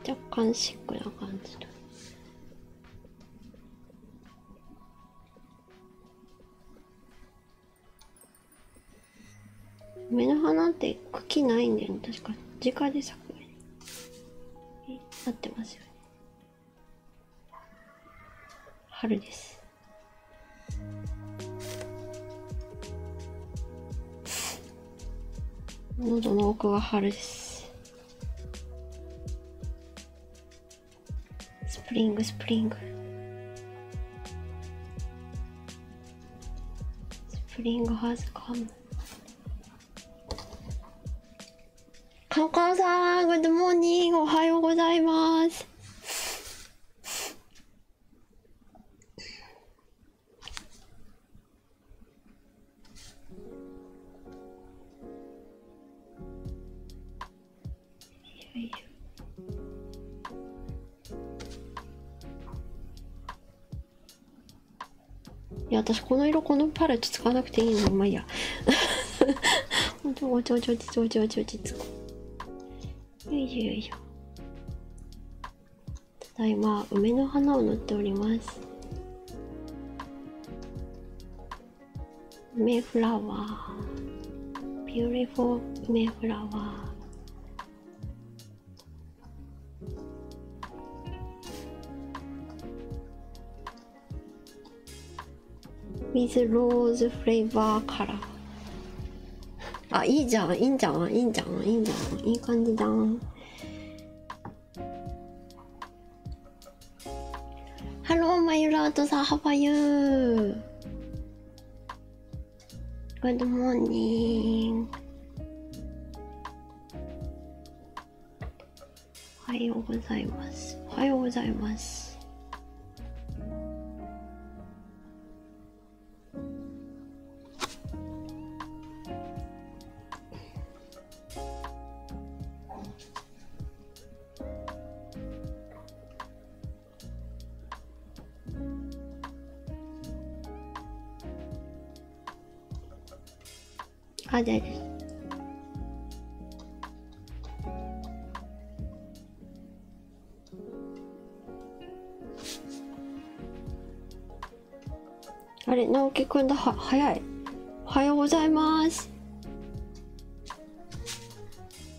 Speaker 1: ー。若干シックな感じの。梅の花って茎ないんだよね確か直で咲くよねなってますよね春です喉の奥が春ですスプリングスプリングスプリングハズカムカオカオさんグッドモーニングおはようございますいや私この色このパレット使わなくていいのまあいいやおちょちょおちょおちょおちょおちょ落ち着よいしょただいま梅の花を塗っておりますメフラワー。o w e r Beautiful m a y f l o ズローズフレーバーカラーあいいじゃんいいじゃんいいじゃんいいじゃんいい感じだんハローマユラートさんハバユー Good morning. おはようございます。おはようございます。あ、大丈夫あれ、直樹くんだ、は、早い。おはようございます。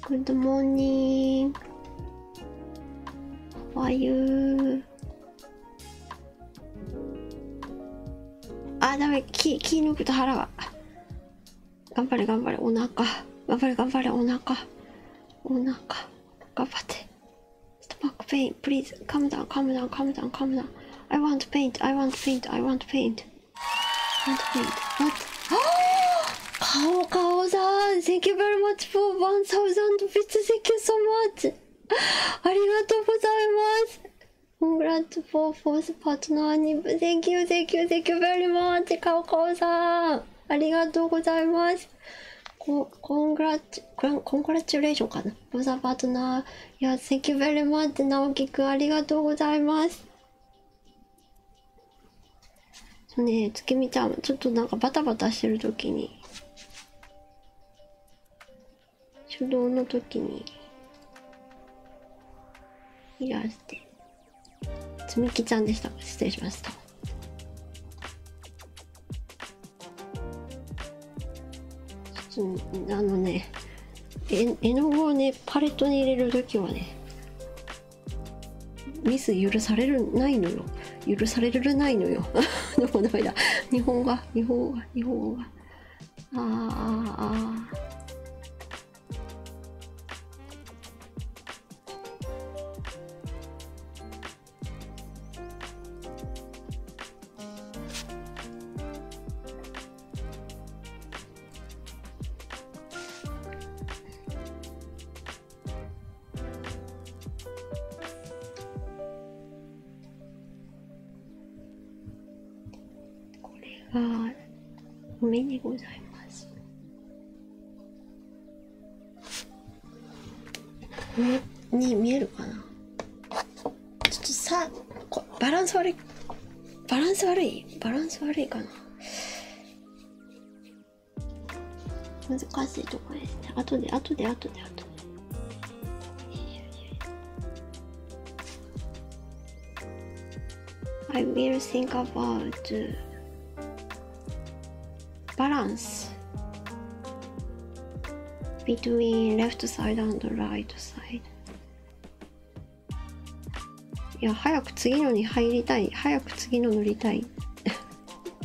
Speaker 1: Good morning. How are you? あ、ダメ。気、気抜くと腹が。頑張れ、頑張れ。お腹。頑張れ、頑張れ。お腹。お腹。頑張って。Stomach pain. Please. Calm down, calm down, calm down, calm down. I want paint. I want paint. I want paint. I want paint. What? Kao Kao-san, thank you very much for 1000 bits. Thank you so much. ありがとうございます。Congrats for fourth partner. Thank you, thank you, thank you very much. 顔顔さん。ありがとうございます。コングラッチ、コングラチュレーションかな。フォーザパートナー。いや、Thank you very much. 直樹くん、ありがとうございます。ね月見ちゃんちょっとなんかバタバタしてる時に手動の時にいや。してつみきちゃんでした失礼しましたあのね絵の具をねパレットに入れる時はねミス許されるないのよ許されるないのよ でもダメだ日本が日本あ、が日本語がああああこれが目にございます目に見えるかなちょっとさバランス悪いバランス悪いバランス悪いかな難しいとこですね。後で後で後で後で。I will think about balance between left side and right side. いや、早く次のに入りたい。早く次の乗りたい。い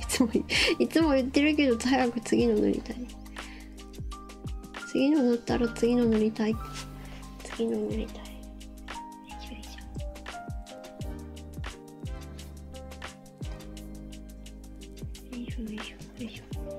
Speaker 1: つも、いつも言ってるけど、早く次の乗りたい。次の乗ったら次の乗りたい。次の乗りたい。
Speaker 2: よよよいいいしししょ。ょ。ょ。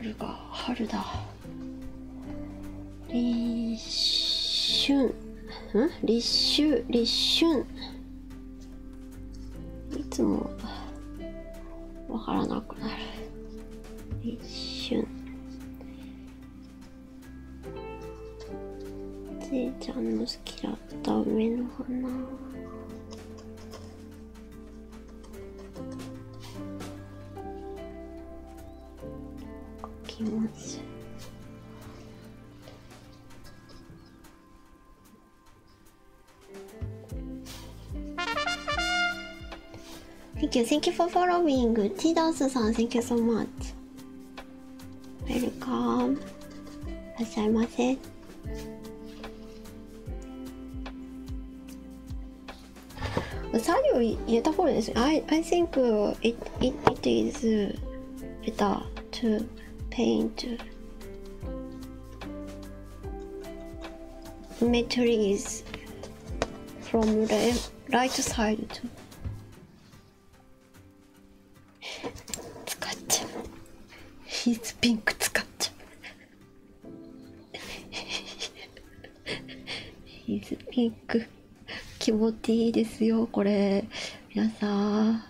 Speaker 1: 春が春だ立春ん立秋立春いつもわからなくなる一瞬じいちゃんの好きだった梅の花きます Thank you, thank you for following. T ス h a n k you so much. w っしゃいませ。うさぎを入れた方ですね。I, think it is better to paint Symmetry is from right side to 使っちゃうヒーツピンク使っちゃうヒーツピンク気持ちいいですよこれ皆さん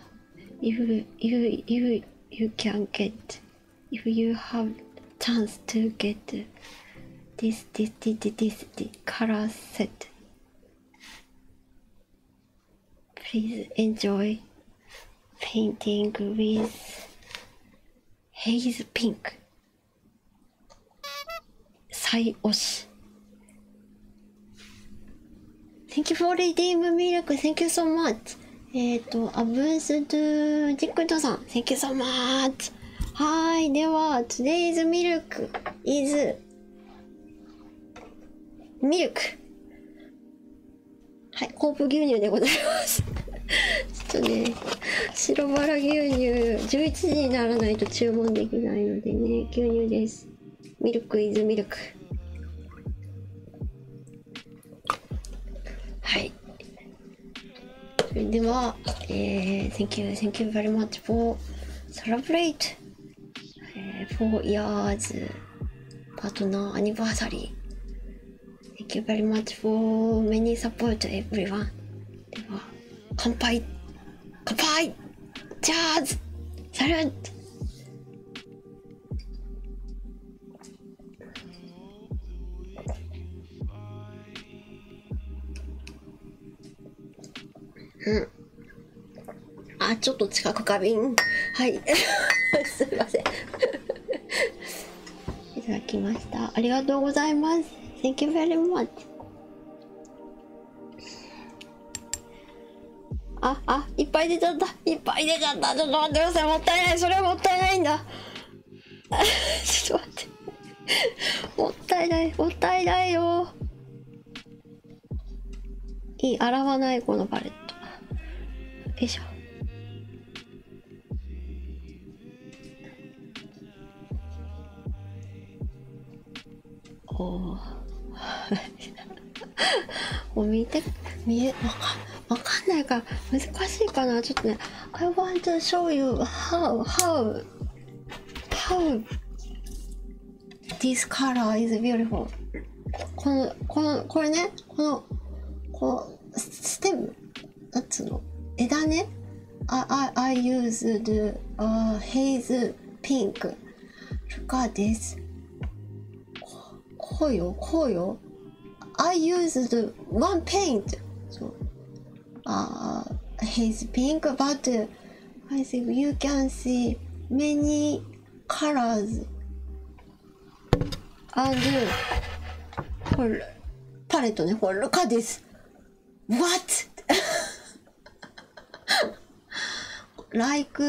Speaker 1: if, if, if you can get if you have chance to get this this this this, this, this color set please enjoy painting with haze pink sai oshi thank you for redeeming miracle thank you so much えっ、と、アブスドゥー、ックトさん、Thank you so much! はい、では、Today's milk is m i l はい、コープ牛乳でございますちょっとね、白バラ牛乳、11時にならないと注文できないのでね、牛乳です。ミルクイズミルク。はい。それでは、えー、Thank you, thank you very much for celebrate、えー、4 years partner anniversary. Thank you very much for many support everyone. では、乾杯乾杯チャーズサルンうん。あ、ちょっと近く花瓶。はい。すいません いただきました。ありがとうございます。Thank you very much. あ、あ、いっぱい出ちゃった。いっぱい出ちゃったちょっと待ってくださいもったいないそれはもったいないんだ ちょっと待ってもったいないもったいないよいい洗わないこのパレットよいしょおお 見て見えわわかんないから難しいかなちょっとね I want to show you how how how this color is beautiful このこのこれねこのこうステムなんつうの枝ね I, I, I used the、uh, haze pink look at this こうよこうよ I used one paint. So, h i s pink, but I s a i n you can see many colors. And, palette, ne, for, look at this. What? like,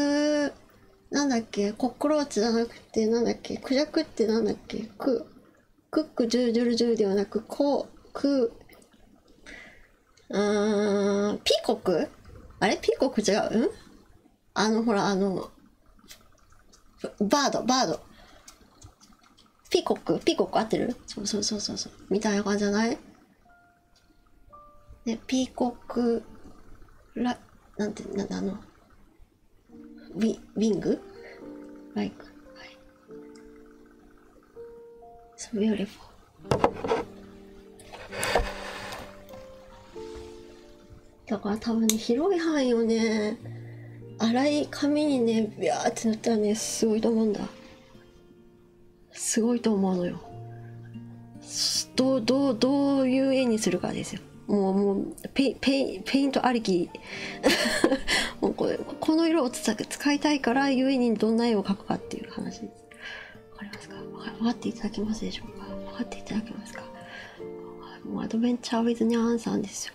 Speaker 1: なんだっけ、コックローチじゃなくってなんだっけクジャクってなんだっけククックジュージュルジューではなくコクうん、ピーコクあれピーコク違ううんあのほらあのバードバードピーコックピーコック合ってるそうそうそうそうみたいな感じじゃないねピーコックラなんてなんだあのウィウィングライクはい。そ o b e a だから多分ね、広い範囲をね、粗い紙にね、ビャーって塗ったらね、すごいと思うんだ。すごいと思うのよ。どう、どう、どういう絵にするかですよ。もうもうペペペイントありき もうこれこの色を使いたいからゆえにどんな絵を描くかっていう話ですわかりますか分かっていただけますでしょうか分かっていただけますかもうアドベンチャーウィズニャンさんですよ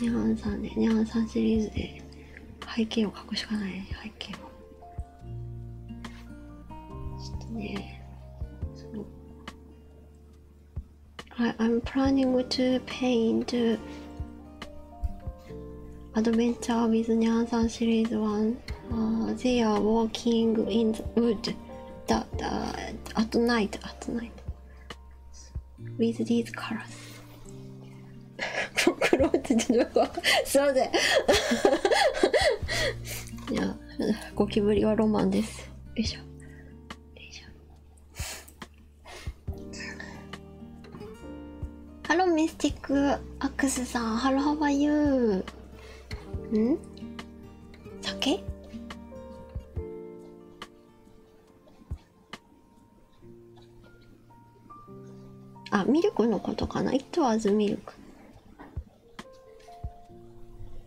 Speaker 1: ニャンさんでニャンさんシリーズで背景を描くしかない、背景をちょっとねその I, I'm planning to paint Adventure with Nyansan Series 1. Uh, they are walking in the wood that, uh, at night, at night. With these colors. クロってちょっとすいませんいやゴキブリはロマンですよいしょよいしょ。ハローミスティックアクスさんハローハワイユーうん酒あミルクのことかなイットアズミルク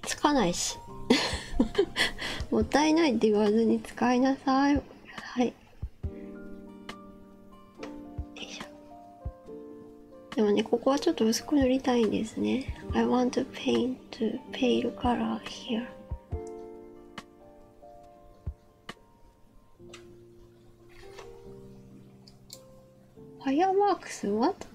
Speaker 1: つかないし もったいないって言わずに使いなさいはいでもねここはちょっと薄く塗りたいんですね I want to paint to pale color here ファイアワークス What?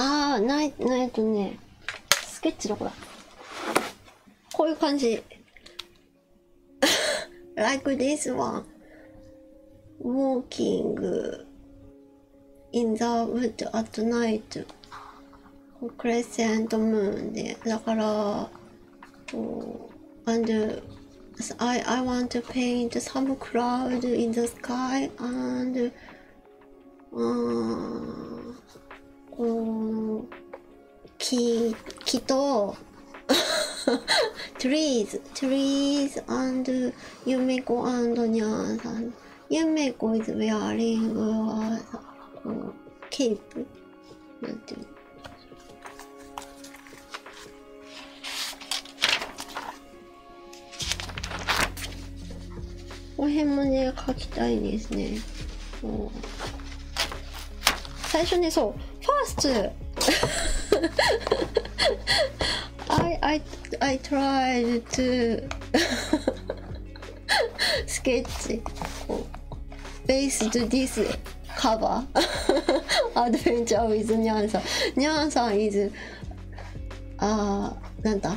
Speaker 1: ああ、ない、ない、とね、スケッチどこだこういう感じ。like this one walking in the wood at night crescent moon でだからこう and I, I want to paint some cloud in the sky and うんこの木木と trees, trees and Yumeko and Nyan-san. Yumeko is wearing a uh, cape. この辺もね、描きたいですね。最初ね、そう。First, I I I tried to sketch based this cover adventure with Nyan さん。Nyan さん is あーなんだ。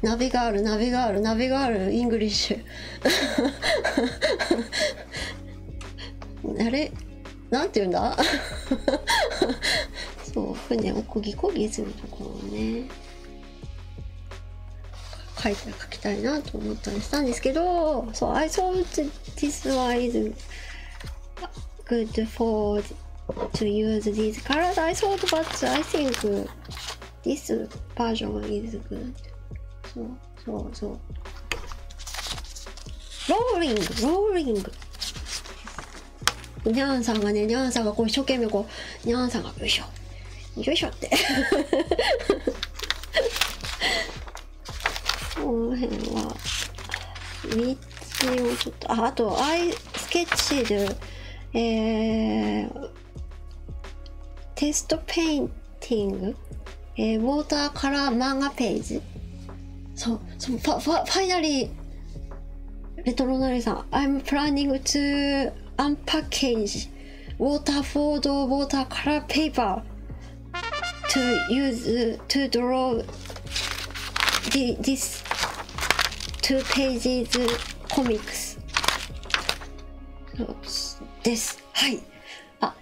Speaker 1: ナビガールナビガールナビガールイングリッシュ。けあれなんて言うんだそう船をこぎこぎするところをね書いて書きたいなと思ったりしたんですけどそう I thought this was good for to use these colors I thought but I think This version is g o そうそうそう。ローリングローリングニャンさんがね、ニャンさんがこう一生懸命こう、ニャンさんがよいしょ、よいしょって。この辺は、3つをちょっと、あ、あと、アイスケッチで、えー、テストペインティング、えー、ウォーターカラー漫画ページそうそうファファファイナリーレトロナリーさん I'm planning to unpackage water for the water color paper to use to draw the, this two pages comics ですはい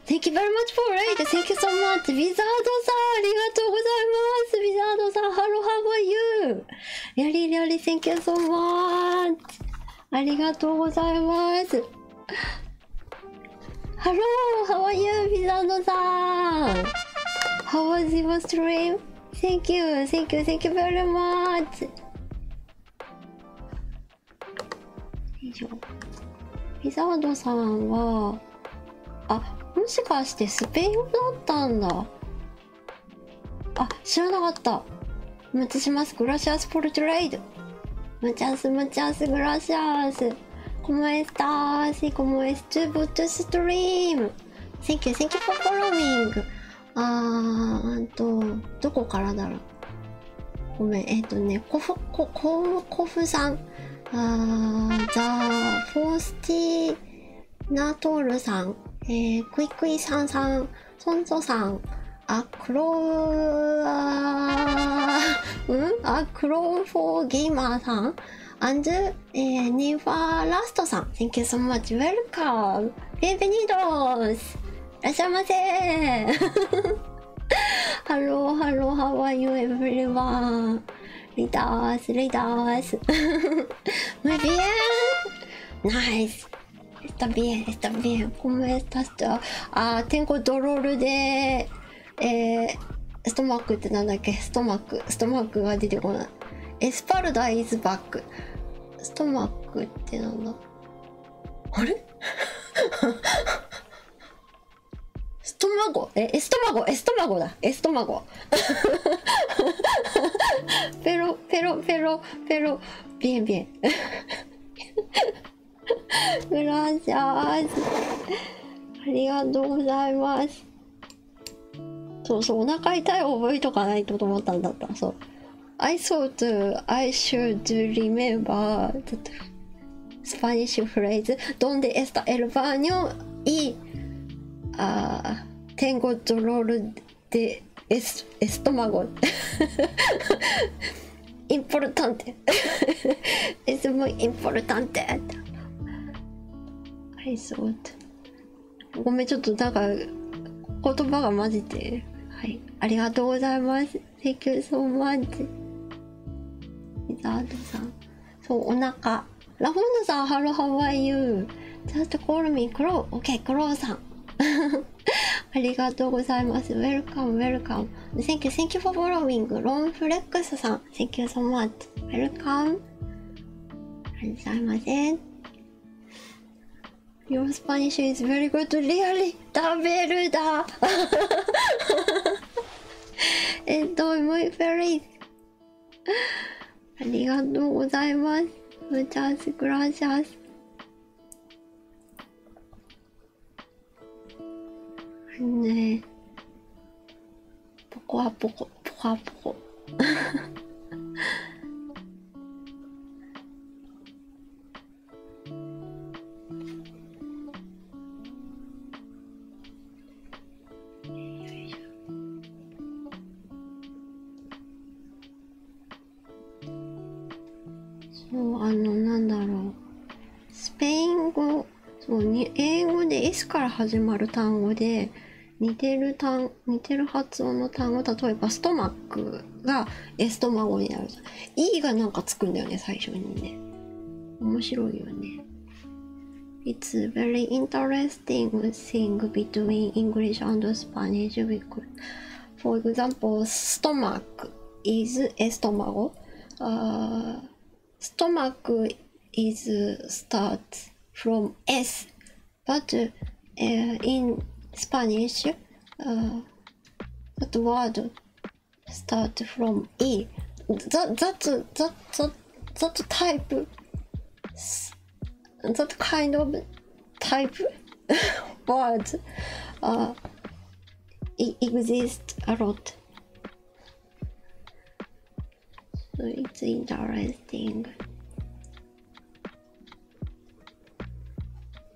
Speaker 1: thank you very much for raid! Thank you so much! how are you? やりりゃり、Thank you so much! ありがとうございますハロー、how are you? ウィザードさん How was your stream? Thank you, thank you, thank you very much! 以上ピザードさんはあもしかしてスペイン語だったんだあ知らなかったお待ちしますグラシアスフォルトレイドムチャスムチャスグラシアスコモエスターシコモエストゥーブトュストリームセンキューセンキュー a n k you f o あーんと、どこからだろうごめん、えっ、とね、コフ、コ、ココフさん、あーザ・フォースティナトールさん、えー、クイクイさんさん、ソンソさん、アクロー、うんあ、クロフォーゲーマーさん、アンジュ、えー、ニファーラストさん、Thank you so much, welcome! ビンベニードースいらっしゃいませハローハローハワイ o エブリワーリダースリダースマイビ bien Nice Está bien está bien ¿Cómo estás? Ah, tengo d o ってなんだっけストマックストマックが出てこないエスパルダイズバックストマックってなんだあれストマゴえエストマゴエストマゴだエストマゴペロペロペロペロビエンビエングラシャースありがとうございますそうそうお腹痛い覚えとかないと思ったんだったそう I thought I should remember スパニッシュフレイズ「ドンデエスタエルバーニョイあテンゴジョロールで、エスエストマゴ」インポルタンテ It's muy i m p o r t a ごめん、ちょっとなんか言葉が混じって。はい。ありがとうございます。Thank you so much. ザードさん。そう、お腹。ラフォンドさん、ハロー、how are you? Just call me, クロー。OK、クローさん。ありがとうございます。Welcome, welcome. Thank you, thank you for following. ロンフレックスさん。Thank you so much. Welcome. ありがとうございません。Your Spanish is very good, really. ダメルだ えっと、もいフェリー。ありがとうございます。ムチャースグラシャス。ねポコアポコ、ポコアポコ。そうあのなんだろうスペイン語そうに英語で S から始まる単語で似てる単似てる発音の単語例えばストマックがエストマゴになるじゃん E がなんかつくんだよね最初にね面白いよね It's very interesting thing between English and Spanish For example, stomach is estómago. Uh, stomach is start from S, but uh, in Spanish, uh, that word start from E. That that that that that type that kind of type words uh, exist a lot. So it's interesting.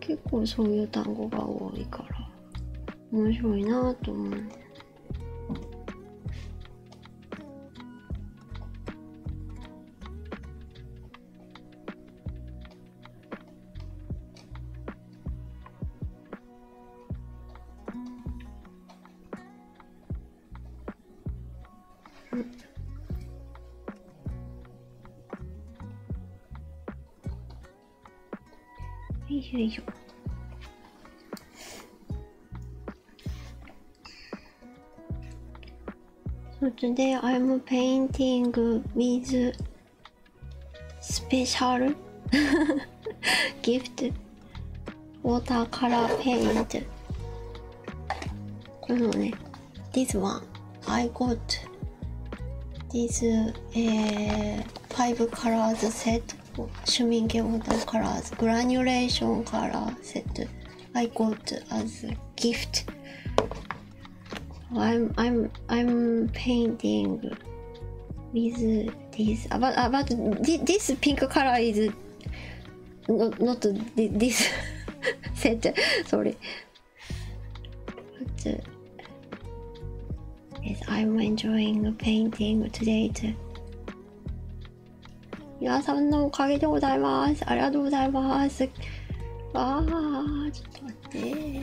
Speaker 1: 結構そういう単語が多いから面白いなと思う。ん。よいしょよいしょ。So today I'm painting with スペシャルギフトウォーターカラーペイントこのね This one I got This、uh, five colors set シュミンケウォーターカラーズグラニュレーションカラーセット I got as a gift I'm I'm I'm painting with this about about this pink color is not not this set sorry but yes I'm enjoying painting today too 皆さんのおかげでございますありがとうございますああちょっと待って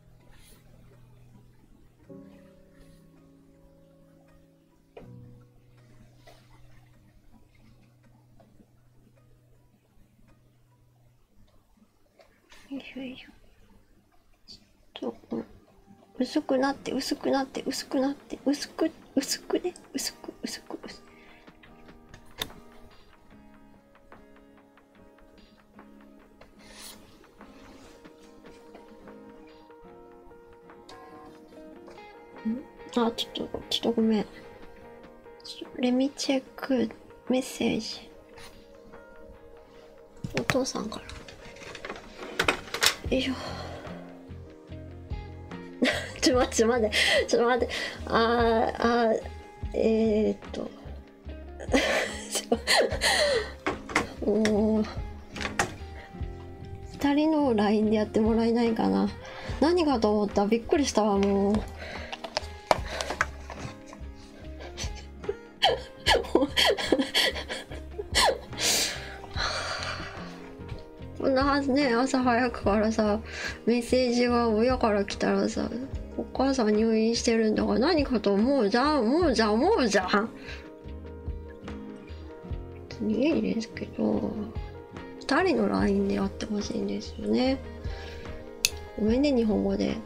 Speaker 1: よいしょちょっと薄くなって薄くなって薄くなって薄く薄くね薄く薄く薄くあ、ちょっと、ちょっとごめん。レミチェックメッセージ。お父さんから。よいしょ。ちょ、待って、ちょ、待って。ちょ、待って。あー、あー、えっと。もう2人の LINE でやってもらえないかな何かと思ったびっくりしたわもう こんなはずね朝早くからさメッセージが親から来たらさお母さん入院してるんだから何かと思うじゃん思うじゃん思うじゃん別にいいですけど2人の LINE で会ってほしいんですよねごめんね日本語で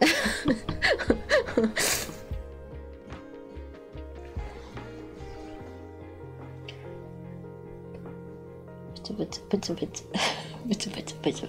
Speaker 1: ぶつぶつぶつぶつ。ブツブツブツブツ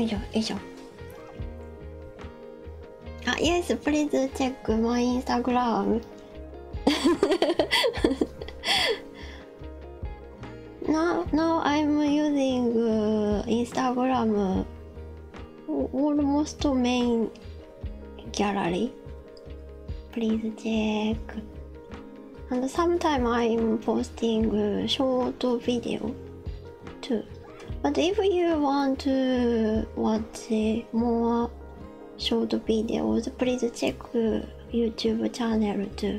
Speaker 1: よいしょよいしょあ Yes please check my Instagram No no I'm using Instagram almost main gallery please check and sometime i'm posting short video too but if you want to watch more short videos please check youtube channel too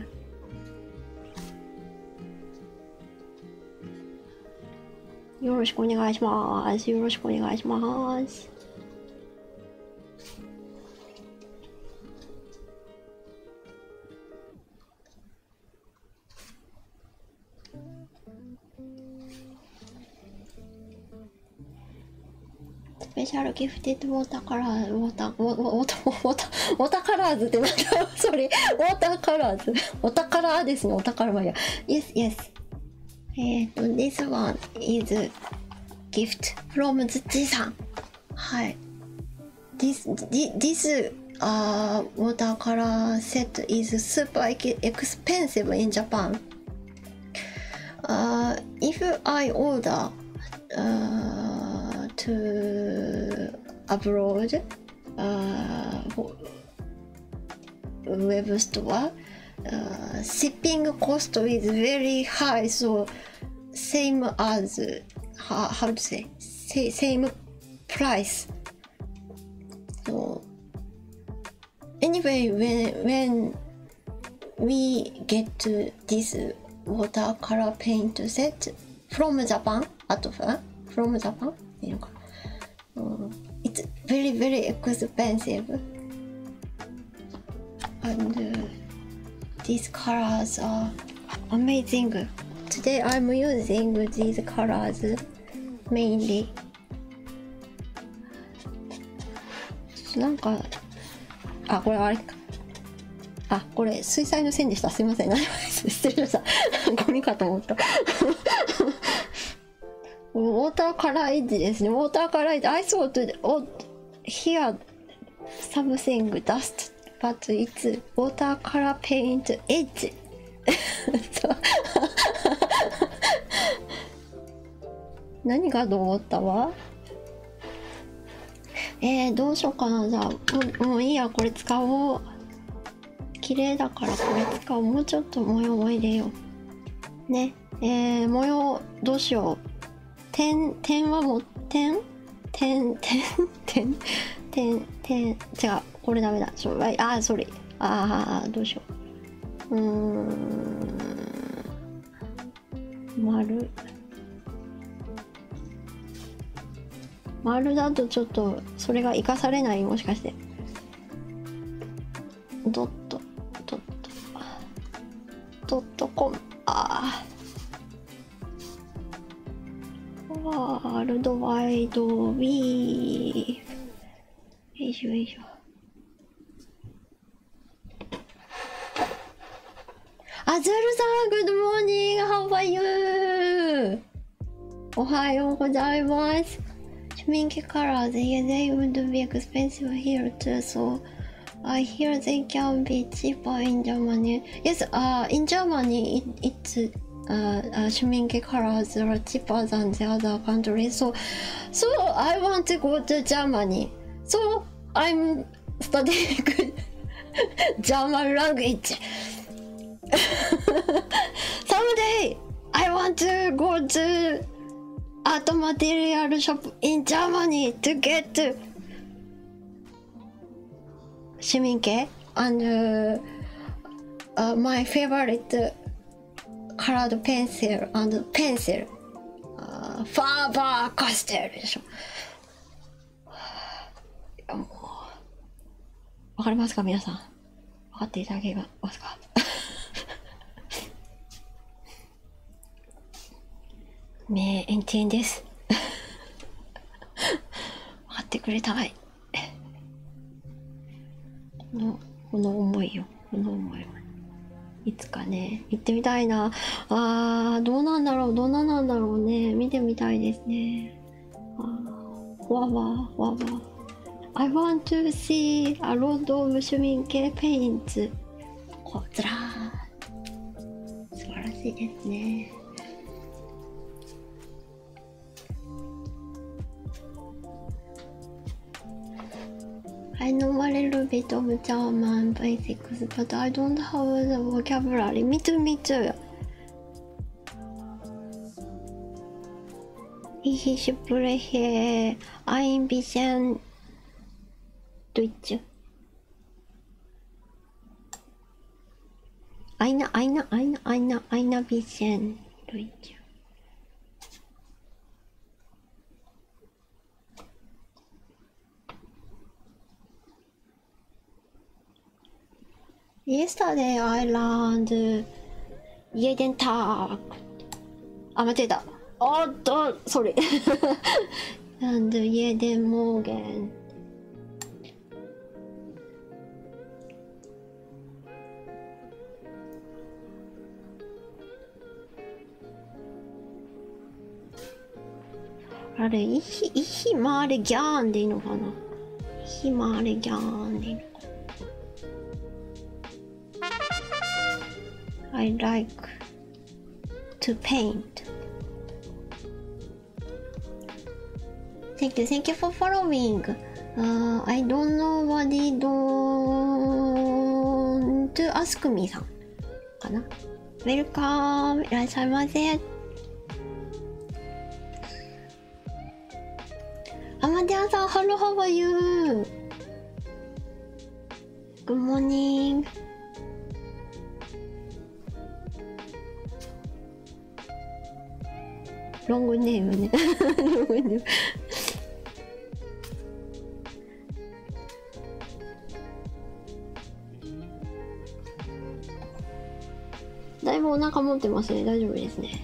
Speaker 1: Yoroshiku onegaishimasu. Yoroshiku onegaishimasu. スペシャルギフティッドウォーターカラーウォーターウォーターウォータウォタカラーズってなんそれウォーターカラーズお宝ですねお宝はや y エ s y エ s えっ、ー、と、this one is gift from Tsuchi さん。はい。This, this uh, watercolor set is super expensive in Japan. Uh, if I order uh, to abroad, uh, ウェブストア、uh, shipping cost is very high, so same as how, how to say, say same price. So anyway, when when we get to this watercolor paint set from Japan, out of uh, from Japan, you know, um, it's very very expensive. and uh, these colors are amazing. Today I'm using these colors mainly. なんかあこれあれあこれ水彩の線でしたすいません失礼しましたゴミかと思ったウォーターカラーエッジですね。ウォーターカラーエッジ。アイスホットで、t oh, here something dust, but it's water c o 何がと思ったわえー、どうしようかな。じゃあ、もういいや、これ使おう。綺麗だからこれ使おう。もうちょっと模様を入れよう。ね。ねえ模様どうしよう点点はも点点点点点点違うこれダメだそああそれああどうしよううん丸丸だとちょっとそれが生かされないもしかしてドットドットドットコムあワールドワイドウィーよいしょよいしょアズルさんグッドモーニングハンバーユーおはようございます Schminke colors, yeah, they would be expensive here too, so I hear they can be cheaper in Germany. Yes, uh, in Germany, it, it's uh, uh, Schminke colors are cheaper than the other countries, so, so I want to go to Germany. So I'm studying German language. Someday I want to go to art material shop in Germany to get to Shiminke and uh, uh, my favorite colored pencil and pencil uh, Faber Castell でしょわかりますか皆さん分かっていただけますか名エンティンです分かってくれたいこのこの思いよこの思いいつかね行ってみたいなあーどうなんだろうどうなんなんだろうね見てみたいですねあわわわわ I want to see a lot of シュミン系ペインツこうずら素晴らしいですね I know a little bit of German basics, but I don't have the vocabulary. みちょみちょよ。too. Ich s p r e c i n i s n と言っちゃうアイナアイナアイナアイナアイナビ y ンと言っ r ゃうイエスタデイアイランドイエデンタークあ間違えたおっと、それ。なんで家でもげん。あれ、いひ、いひまれギャンでいいのかなひまれギャンでいいのか I like to paint. Thank you, thank you for following. Uh, I don't know what they don't to ask me さんかな。Welcome! いらっしゃいませ。アマデアさん、ハローハワイユーグモニングロングネームねロングネームだいぶお腹持ってますね大丈夫ですね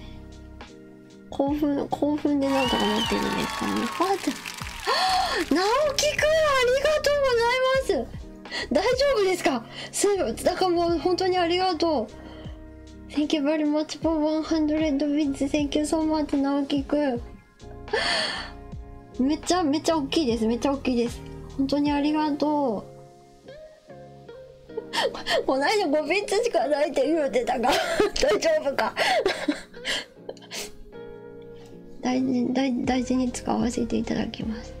Speaker 1: 興奮興奮でなんとかなってるんですかねわちゃん 直樹くんありがとうございます大丈夫ですかすだからもう本当にありがとう Thank you very much for 100 w i t s Thank you so much 直樹くん めっちゃめっちゃ大きいですめっちゃ大きいです本当にありがとうこ ないだ5ピッツいて言うてたが 大丈夫か 大事大大事に使わせていただきます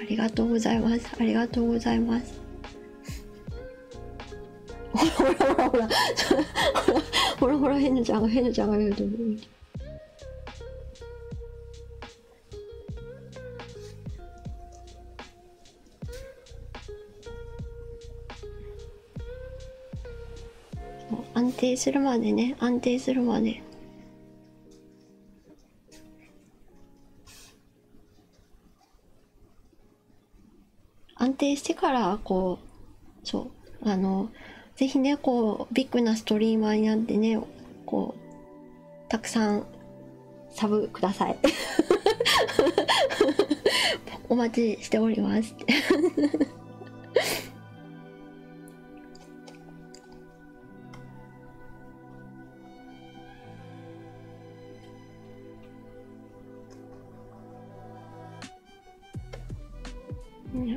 Speaker 1: ありがとうございますありがとうございますほらほらほら ほらほらほら変なちゃんが変なちゃんが言うと思う安定するまでね安定するまで安定してからこうそうあの是非ねこうビッグなストリーマーになってねこうたくさんサブくださいお待ちしております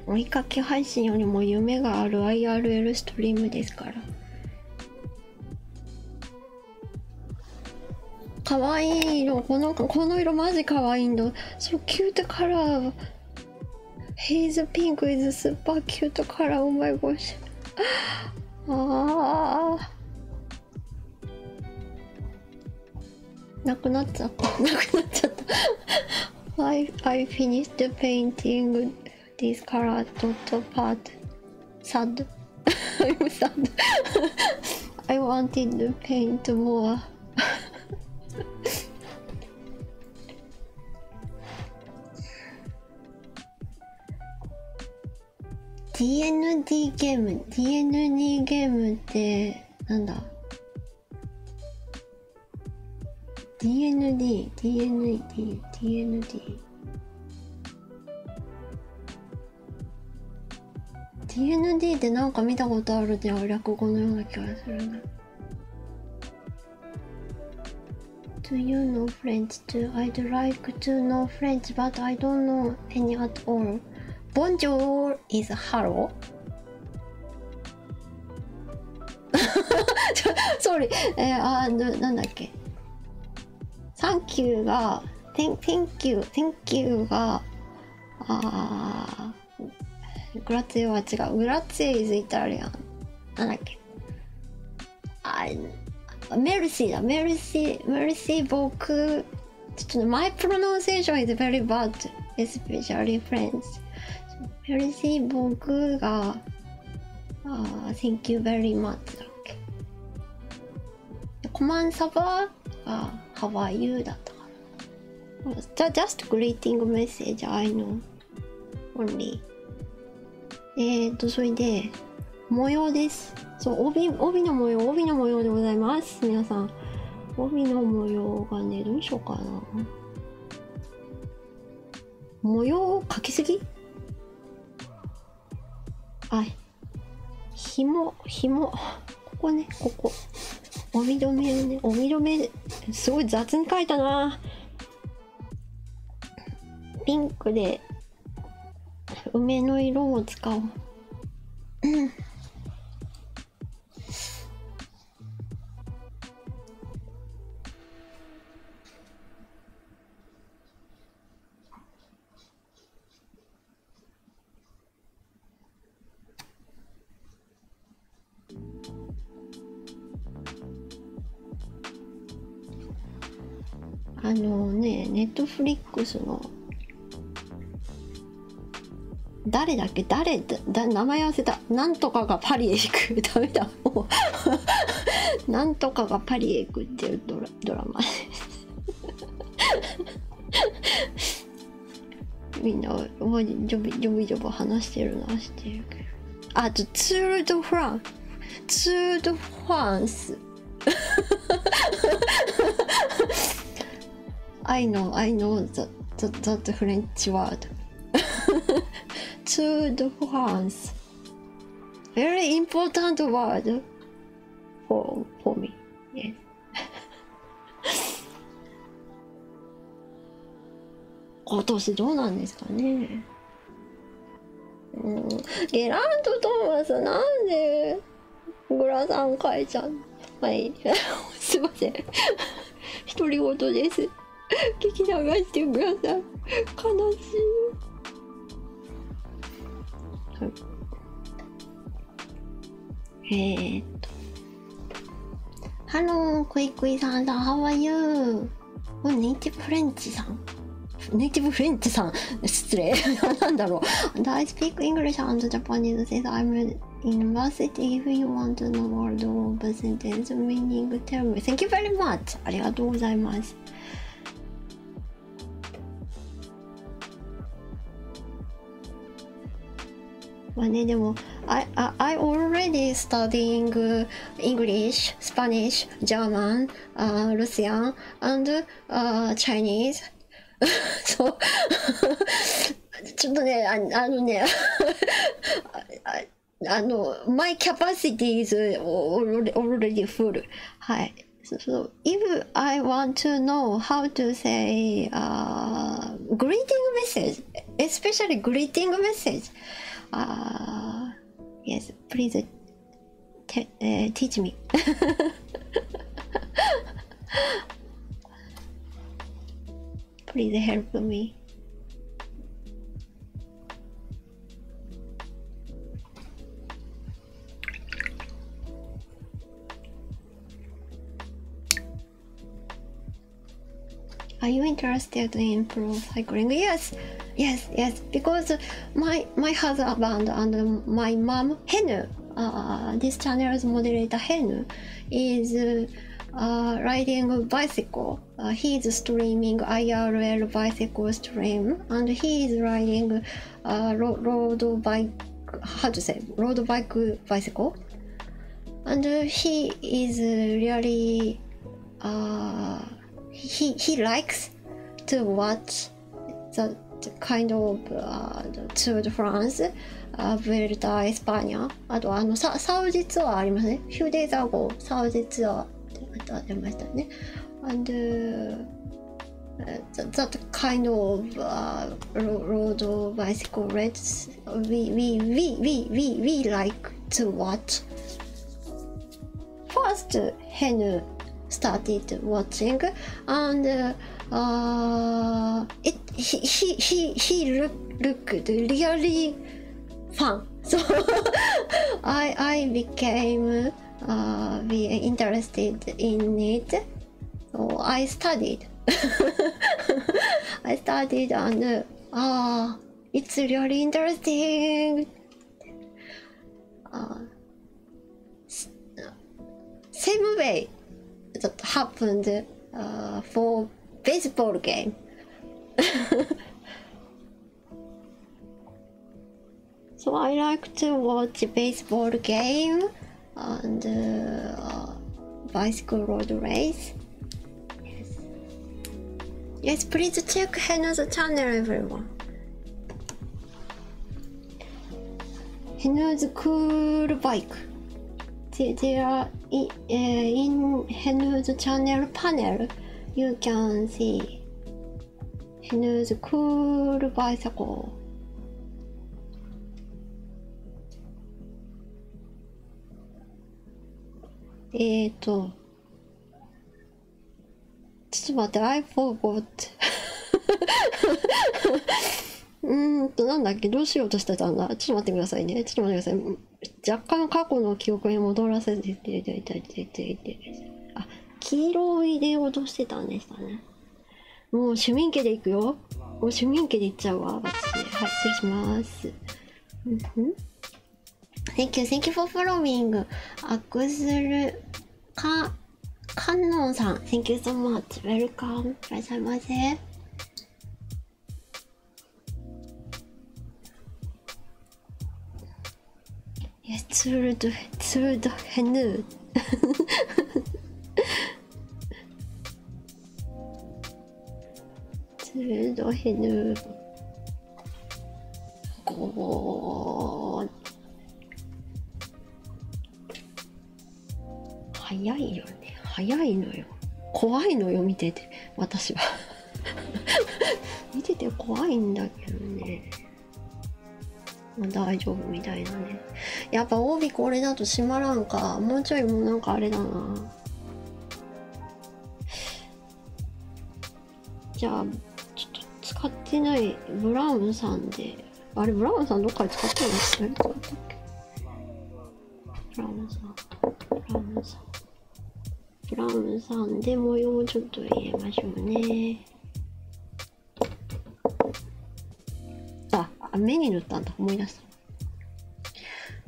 Speaker 1: 追いかけ配信よりも夢がある IRL ストリームですからかわいい色このこの色マジかわいいんだそうキュートカラー His pink is super cute color oh my gosh ああなくなっちゃったなくなっちゃった I, I finished painting this color dot part sad I was not. I wanted to paint more. DND ゲーム DND ゲームってなんだ DND DND DND TND でなんか見たことあるじゃん略語のような気がするな、ね。Do you know French too? I'd like to know French, but I don't know any at all. Bonjour is hello. Sorry. えー、あーな、なんだっけ ?Thank you が、Thank you, Thank you が、あーグラツィは違うグラツィエ i イタリアンなんだっけあメルシーだメルシーメルシー僕ちょっと My pronunciation is very bad e s p e c i メルシー僕があ Thank you very だっけコマンサバああ、How are you? だったかな。Just greeting message, I k えっと、それで、模様です。そう、帯、帯の模様、帯の模様でございます。皆さん。帯の模様がね、どうしようかな。模様を描きすぎはい。ひもひもここねここおみどめおみどめすごい雑に書いたなピンクで梅の色を使おうん。うあのね、ネットフリックスの誰だっけ誰だ名前忘れたなんとかがパリへ行く ダメだも なんとかがパリへ行くっていうドラドラマです みんなおばにジョビジョビジョビ話してるのは知ってるけどあとツール・ド・フランツール・ド・フランス I know, I know that, that, that French word. Tour de France. Very important word for, for me. Yes. 今年どうなんですかねうんゲラント・トーマスなんでグラサン書いちゃうはいすいません独り言です聞き流してください悲しいえっと。ハロー、クイクイさんだ、How are you? ネイティブフレンチさんネイティブフレンチさん失礼なんだろう ?I speak English and Japanese s i n c I'm in university. If you want to know more of the sentence meaning, tell me. Thank you very much. ありがとうございます。まあね、でも、I, I, I already studying English, Spanish, German,、uh, Russian, and、uh, Chinese. そう。ちょっとね、ああのねあの、my capacity is already full. はい。そ if I want to know how to say uh, greeting message, especially greeting message, uh, yes, please uh, teach me. please help me. Are you interested in improve cycling? Yes, yes, yes. Because my my husband and my mom Henu, uh, this channel's moderator Henu, is uh, riding a bicycle. Uh, he is streaming IRL bicycle stream, and he is riding uh, road bike. How to say road bike new bicycle, and he is really, uh, he he likes to watch the, the kind of uh, Tour de France, uh, Vuelta España. あとあのササウジツアーありますね。few days ago サウジツアーってありましたね。and that, kind of uh, road or bicycle race we we, we we we we like to watch. First, Henu started watching, and uh, uh, he he he he looked really fun. So I I became uh, interested in it so I studied. I studied and ah, it's really interesting. Uh, same way that happened ah, for baseball game. so I like to watch baseball game and uh, uh, bicycle road race. Yes. please check Henna's channel, everyone. Henna's cool bike. There, in, uh, channel panel. You can see Henna's cool bicycle. えっ、と、ちょっと待って、I forgot. うんと、なんだっけ、どうしようとしてたんだ。ちょっと待ってくださいね。ちょっと待ってください。若干過去の記憶に戻らせていたあ、黄色いで落としてたんでしたね。もう市民家で行くよ。もう市民家で行っちゃうわ、私。はい、失礼します。うんん Thank you, thank you for following. アクスルカカノンさん、Thank you so much. Welcome. いらっしゃいませ。ツールド、ツールドヘヌー。鋭いぬご早いよね早いのよ怖いのよ見てて私は 見てて怖いんだけどね、まあ、大丈夫みたいなねやっぱ帯これだと閉まらんかもうちょいもうなんかあれだなじゃあちょっと使ってないブラウンさんであれブラウンさんどっかで使ってないブラウンさんブラウンさんブラウンさんで模様をちょっと入れましょうねあ目に塗ったんだ思い出した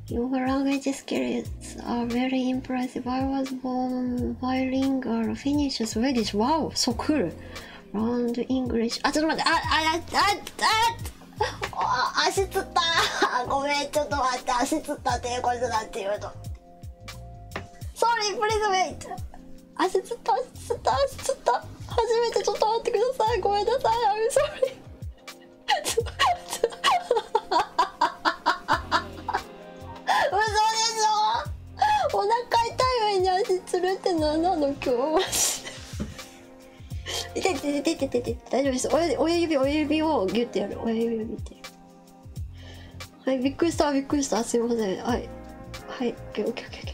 Speaker 1: Your language skills are very impressive. I was born bilingual Finnish Swedish. Wow, so cool. Round English. あ、ちょっと待って。あ、あ、あ、あ、あ、足つった。ごめん、ちょっと待って。足つったっていうことだって言うと。Sorry, please wait. 足つった、足つった、足つった。初めてちょっと待ってくださいごめんなさい I'm sorry お腹痛い上に足つるって何なの今日痛い痛い痛い痛い痛大丈夫です親指親指をギュッてやる親指を見てはいびっくりしたびっくりしたすいませんはいはい OKOKOK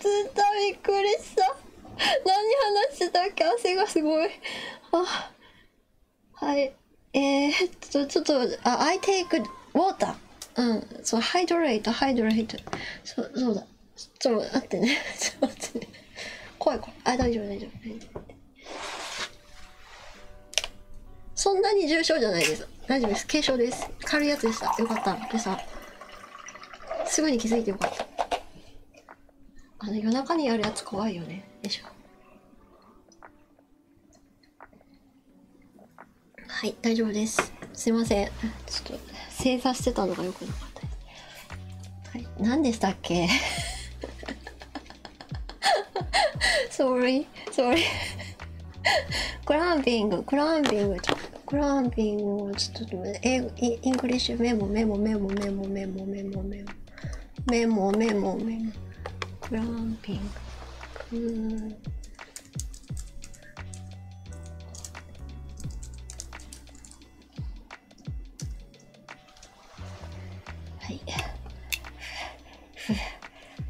Speaker 1: ついたびっくりした何話してたっけ汗がすごいあはいえっとちょっとあ I い a い e water うんそうハイドレートハイドレートそそうだちょっと待ってね ちょっと待ってね怖い怖いあ大丈夫大丈夫大丈夫そんなに重症じゃないです大丈夫です軽症です軽いやつでしたよかったで朝すぐに気づいてよかったあの夜中にやるやつ怖いよね。よしょ。はい、大丈夫です。すいません。ちょっと正座してたのがよくなかったはい、何でしたっけ？Sorry, sorry。クランピング、クランピングちょっグランピングをちょっと英語イングリッシュメモメモメモメモメモメモメモメモメモメモグランピングうんはい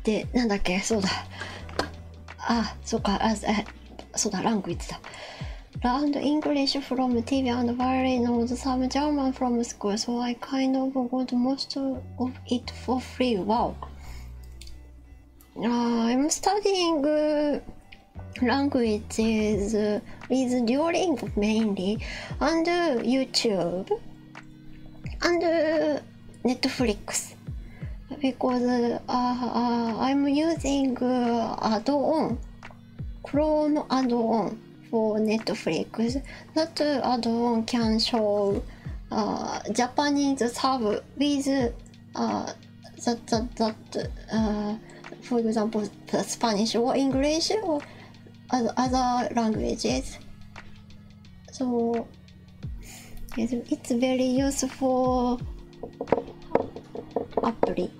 Speaker 1: でなんだっけそうだあそうかあそうだランク言ってた learned English from TV and barely know some German from school, so I kind of got most of it for free. Wow. Uh, I'm studying languages with Duolingo mainly, and YouTube, and Netflix, because uh, I'm using add-on Chrome add-on for Netflix. That add-on can show uh, Japanese sub with uh, that that that uh, for example Spanish or English or other languages. So it's very useful. アプリ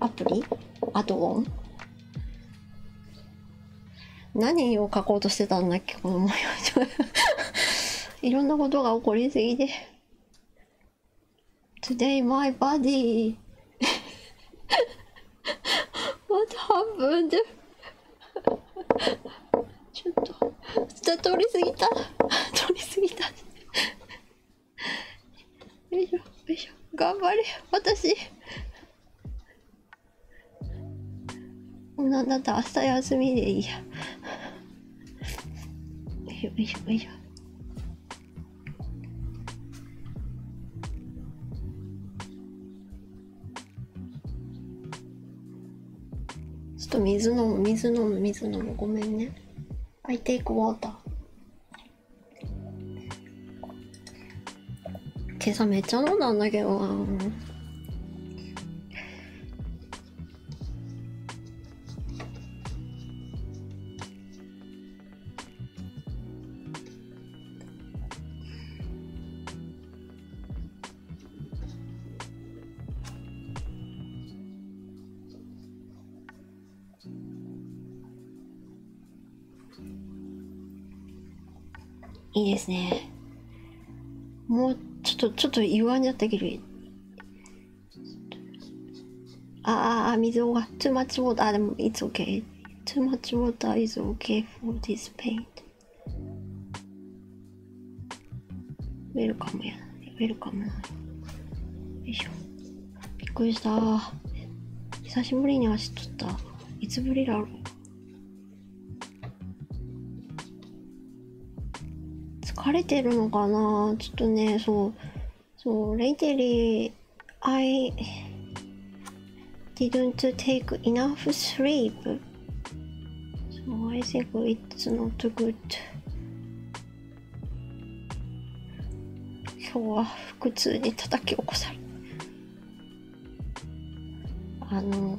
Speaker 1: アプリアドオン何を書こうとしてたんだっけこの模様 いろんなことが起こりすぎて Today my body What happened? ちょっと通り過ぎた通り過ぎたよいしょよいしょ頑張れ私もうなんだった明日休みでいいやよいしょよいしょよいしょちょっと水飲む水飲む水飲むごめんね I take water 今朝めっちゃ飲んだんだけどないいですね。もうちょっと、ちょっと言わんじゃったけど。ああ、あ、水を、too much water, あ、でも、it's okay. Too much water is okay for this paint. ウェルカムやな。食べるかなよいしょびっくりした久しぶりに足取ったいつぶりだろう疲れてるのかなちょっとねそうそうレイテリー I didn't take enough sleep so I think it's not good 今日は腹痛に叩き起こされあの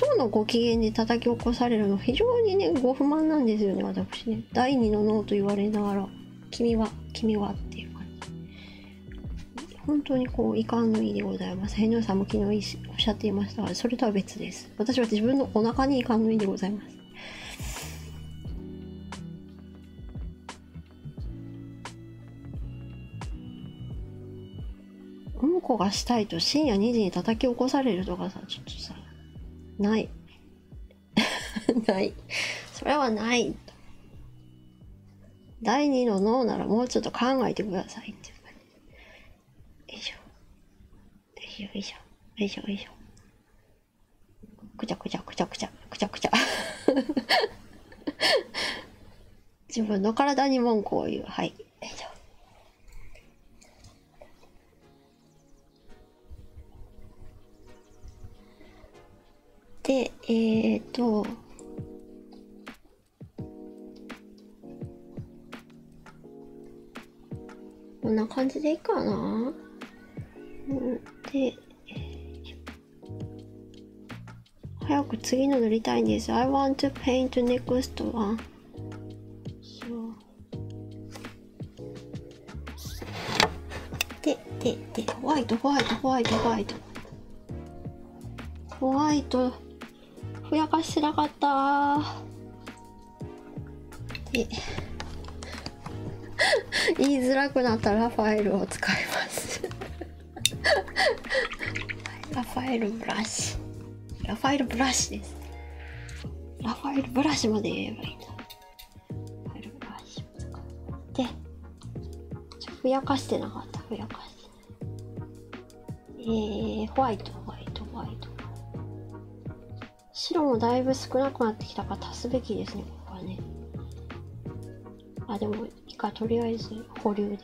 Speaker 1: 腸のご機嫌で叩き起こされるの非常にねご不満なんですよね私ね第二の脳と言われながら「君は君は」っていう感じ本当にこう遺憾のいいでございます変動さんも昨日おっしゃっていましたがそれとは別です私は自分のお腹に遺憾のいいでございますうんこがしたいと深夜2時に叩き起こされるとかさちょっとさないないそれはない第2の脳ならもうちょっと考えてくださいっていう感じよいしょよいしょ、よいしょ、よいしょ。くちゃくちゃくちゃくちゃ、くちゃくちゃ。自分の体に文句を言う。はい。よいしょ。で、えっ、と、こんな感じでいいかなで早く次の塗りたいんです I want to paint next one でででホワイトホワイトホワイトホワイトホワイトふやかしてなかったで。言いづらくなったらファイルを使いますラファエルブラシラファエルブラシですラファエルブラシまで言えばいいんだラファエルブラシを使ってふやかしてなかったふやかしてえー、ホワイトホワイトホワイト白もだいぶ少なくなってきたから足すべきですねここはねあでもいいかとりあえず保留で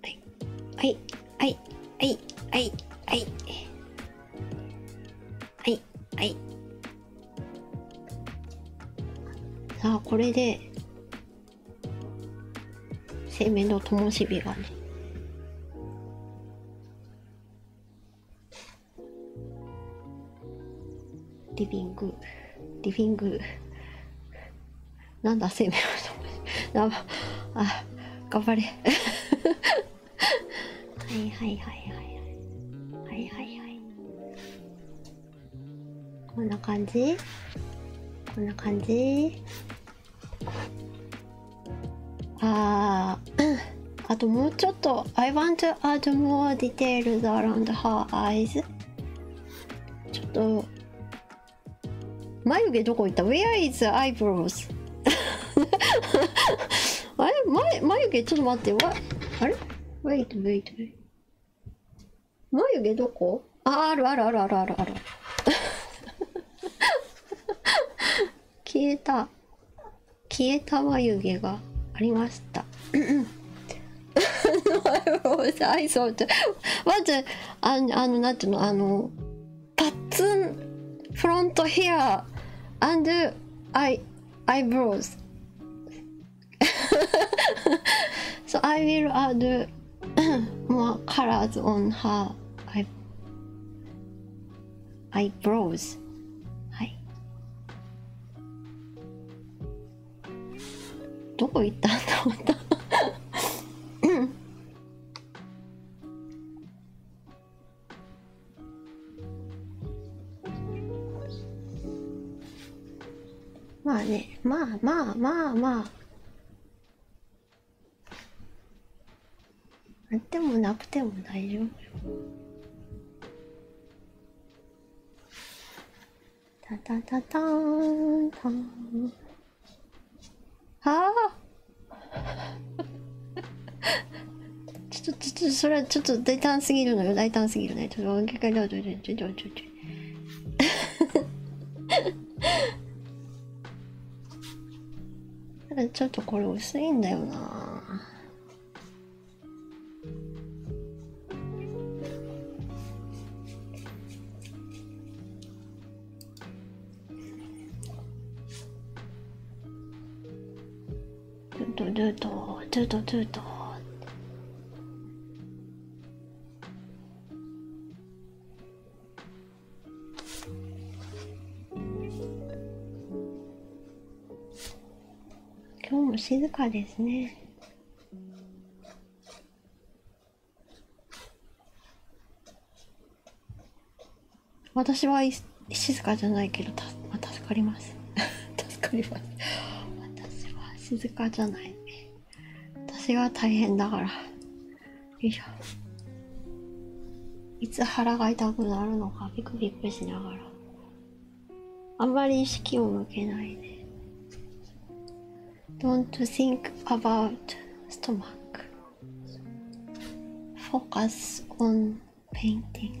Speaker 1: はいはいはいはいはいはいはいはいさあこれで生命の灯火がねリビングリビングなんだ生命の灯火あ頑張れ はいはいはいはいはいはいはいはいこんな感じこんな感じあーあともうちょっと I want to add more details around her eyes ちょっと眉毛どこ行った ?Where is eyebrows? あれ眉眉毛ちょっと待ってわあれ ?Wait wait wait 眉毛どこあ、あるあるあるあるあるある。消えた。消えた眉毛がありました。I saw あのなんていうのあのパッツンフロントヘア and I eyebrows so I will add more colors on her eye eyebrows. Hi. どこ行ったんだ思った。まあねまあまあまあまああってもなくても大丈夫タタタターはあ ちょっとちょっとそれはちょっと大胆すぎるのよ大胆すぎるねちょっとちょっとちょっとちょっとただちょっとこれ薄いんだよなドゥドゥドゥドゥドゥドゥドゥ今日も静かですね。私は静かじゃないけど、た助かります。助かります。私は静かじゃない。私は大変だからいしょいつ腹が痛くなるのかビクビクしながらあんまり意識を向けないで Don't h i n k about stomach Focus on p a i n t i n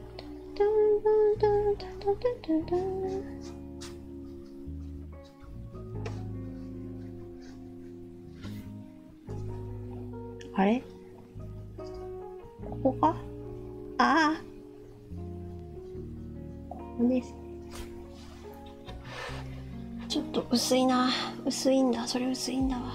Speaker 1: あれここかああここですちょっと薄いな薄いんだそれ薄いんだわ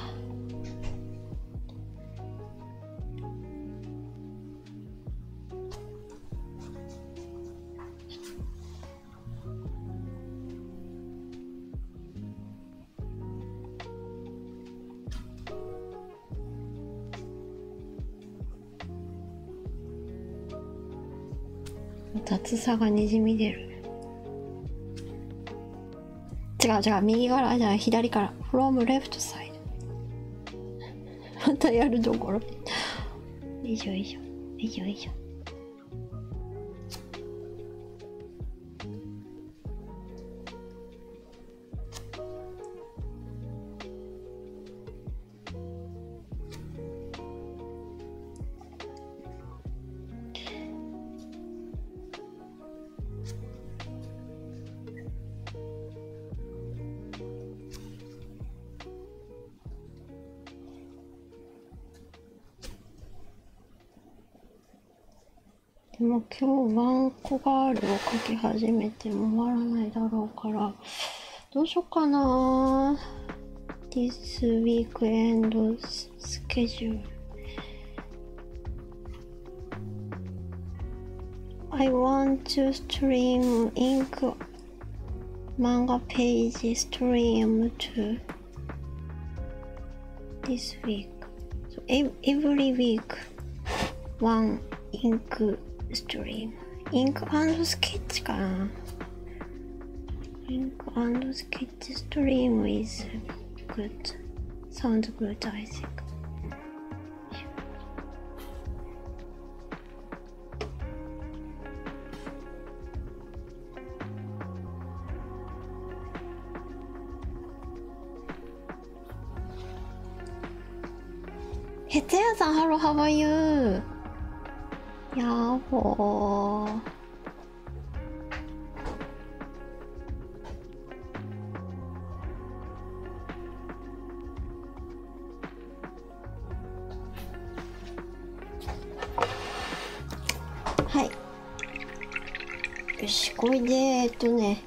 Speaker 1: 雑さがにじみ出る違う違う右からじゃあ左からフロ o m left s i またやるどころよいしょよいしょよいしょでも今日ワンコガールを書き始めても終わらないだろうからどうしようかな This weekend schedule I want to stream ink manga page stream to this week. So every week one ink stream. Ink and sketch gun. Ink and sketch stream is good. Sounds good I think. へつやさん、ハロー、ハワイっはいよしこれでえっとね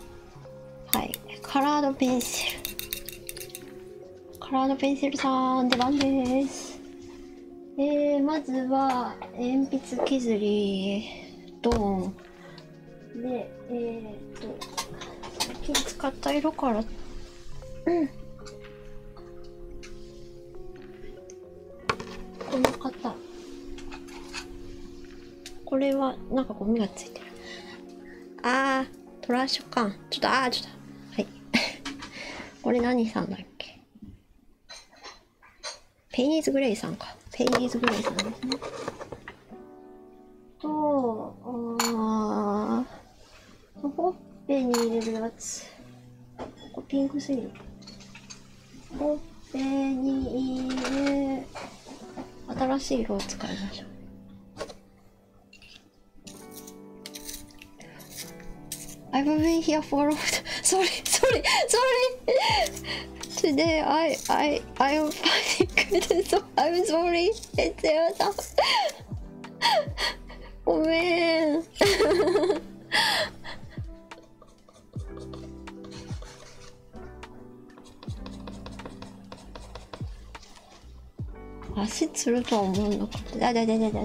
Speaker 1: はいカラードペンシルカラードペンシルさん出番ですえー、まずは鉛筆削りドーンで、えっと、最近使った色から、うんこの方これはなんかゴミがついてるあートラッシュ缶ちょっとあーちょっとはい これ何さんだっけペイニーズグレイさんかペイニーズグレイさんですねと、あほっぺに入れるやつ。ここピンクすぎる。ほっぺに入れ、新しい色を使いましょう。I've been here for a long time. Sorry, sorry, sorry. Today I I I am fighting so I'm sorry. It's your time. ごめん。足つるとは思うのか。あだだだだだだ。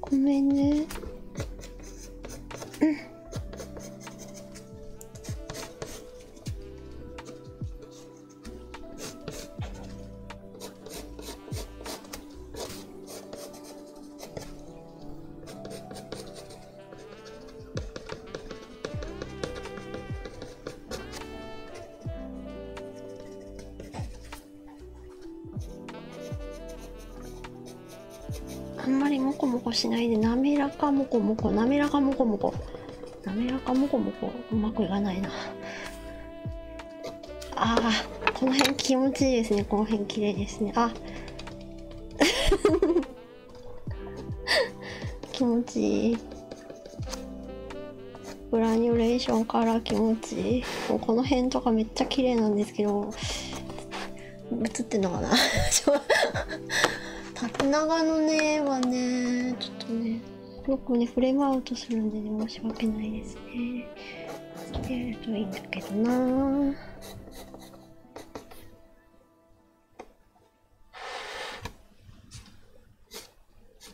Speaker 1: ごめんねうんあんまりモコモコしないで滑らかモコモコ滑らかモコモコ滑らかモコモコうまくいかないなあーこの辺気持ちいいですねこの辺綺麗ですねあ 気持ちいいグラニュレーションから気持ちいいもうこの辺とかめっちゃ綺麗なんですけど映ってんのかな 縦長のねはねちょっとねよくねフレームアウトするんで、ね、申し訳ないですね綺麗るといいんだけどな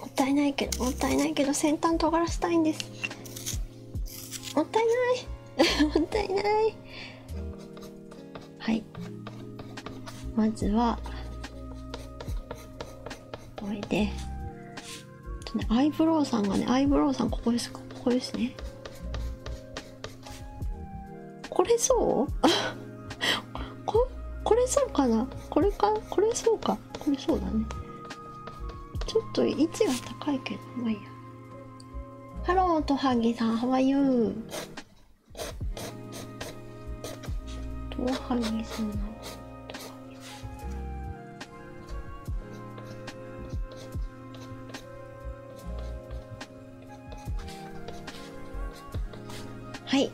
Speaker 1: もったいないけどもったいないけど先端尖らせたいんですもったいない もったいないはいまずはおいでアイブロウさんがねアイブロウさんここですここですねこれそう ここれそうかなこれかこれそうかこれそうだねちょっと位置が高いけどまあいいやハローとはぎさんはワイユーとはぎさんなはい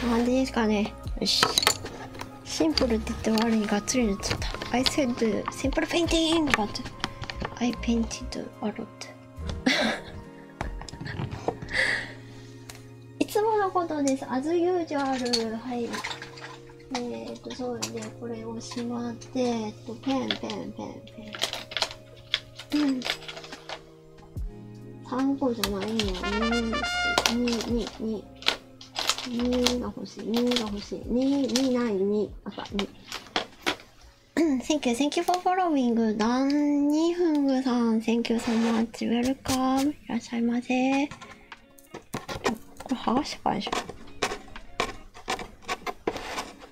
Speaker 1: こんな感じですかねよしシンプルって言って悪いがっつり塗っちゃった I said simple painting but I painted a lot いつものことです as usual はいえっとそうで、ね、これをしまって、えっペンペンペン3個じゃないの2です222 2が欲しい2が欲しい22ない2赤2 Thank you, thank you for following ダンニフングさん Thank you so much, welcome いらっしゃいませこれ剥がしてかいでしょ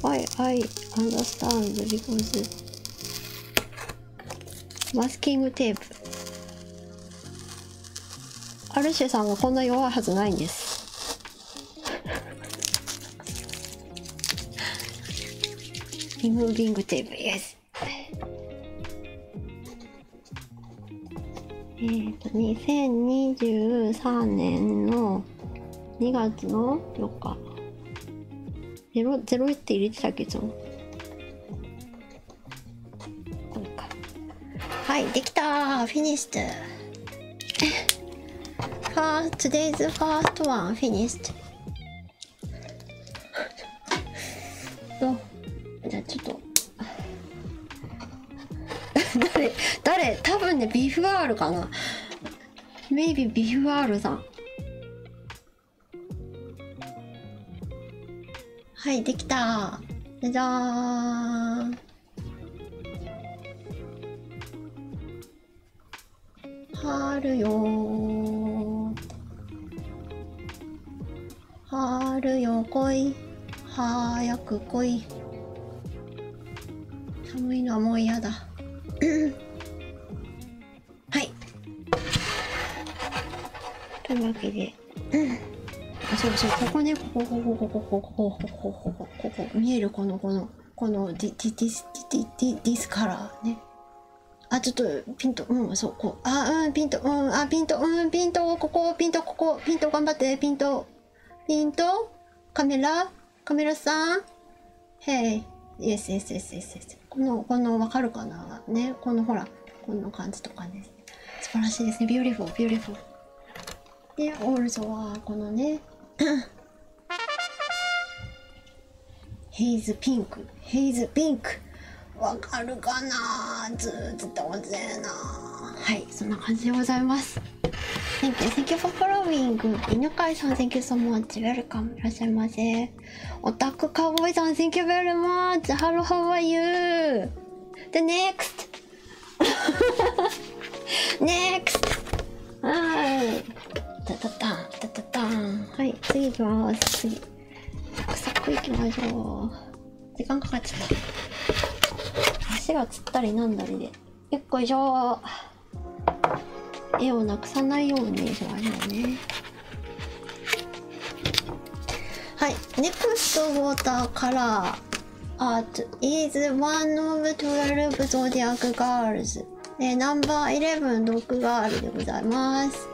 Speaker 1: Why I understand because masking tape アルシェさんがこんな弱いはずないんですリムービングテープ yes えーと、2023年の2月の4日。ゼロ、ゼロって入れてたけど。こはい、できたフィニッシュ First, today's first one f i じゃあちょっと、誰誰多分ねビフアールかな Maybe ビフアールさんはいできたじゃじゃーん春よー春よ来い早く来い寒いのはもう嫌だはいというわけでそうそうここねここここここここここここここ見えるこのこのこのディディディスディディディスからねあちょっとピントうんそこあうんピントうんあピントうんピントここピントここピント頑張ってピントピントカメラカメラさんこの、この、わかるかなね。このほら、こん感じとかね。素晴らしいですね。ビューテフォー、ビューテフォー。で、オールゾは、このね。ヘイズピンク。ヘイズピンク。わかるかなずっとおぜなはい、そんな感じでございます。Thank you, thank you for following. 犬飼さん、thank you so much. Welcome. いらっしゃいませ。オタクカウボイさん、thank you very much. Hello, how are you? The next! next! はい。たたたん、たたたん。はい、次行きます。次。サクサク行きましょう。時間かかっちゃった。足がつったりなんだりで。よっこいし絵をなくさないようにしましょうねはい NEXT WATER カラー Art is one of 12 Zodiac Girls でナンバー11ドッグガールでございます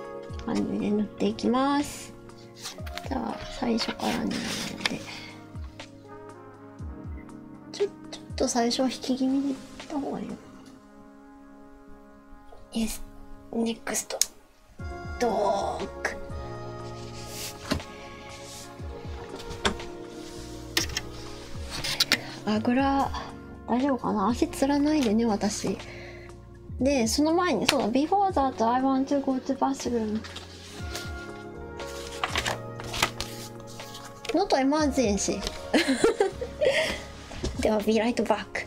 Speaker 1: 感じ塗っていきますじゃあ最初からねなのでちょっと最初は引き気味にいった方がいいよ Yes, n クス t ドーク。あぐら大丈夫かな足つらないでね私でその前にそうだ Before that I want to go to bathroom Not emergency. they will be right back.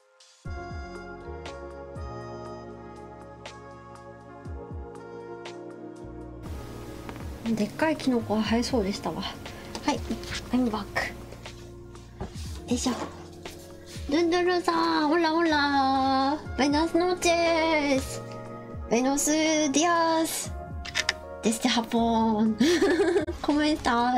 Speaker 1: でっかいキノコが生えそうでしたわはいアイバックよいしょドンドゥルさんオラオラベナスノーチェスベスディアスデステハポン コメンタ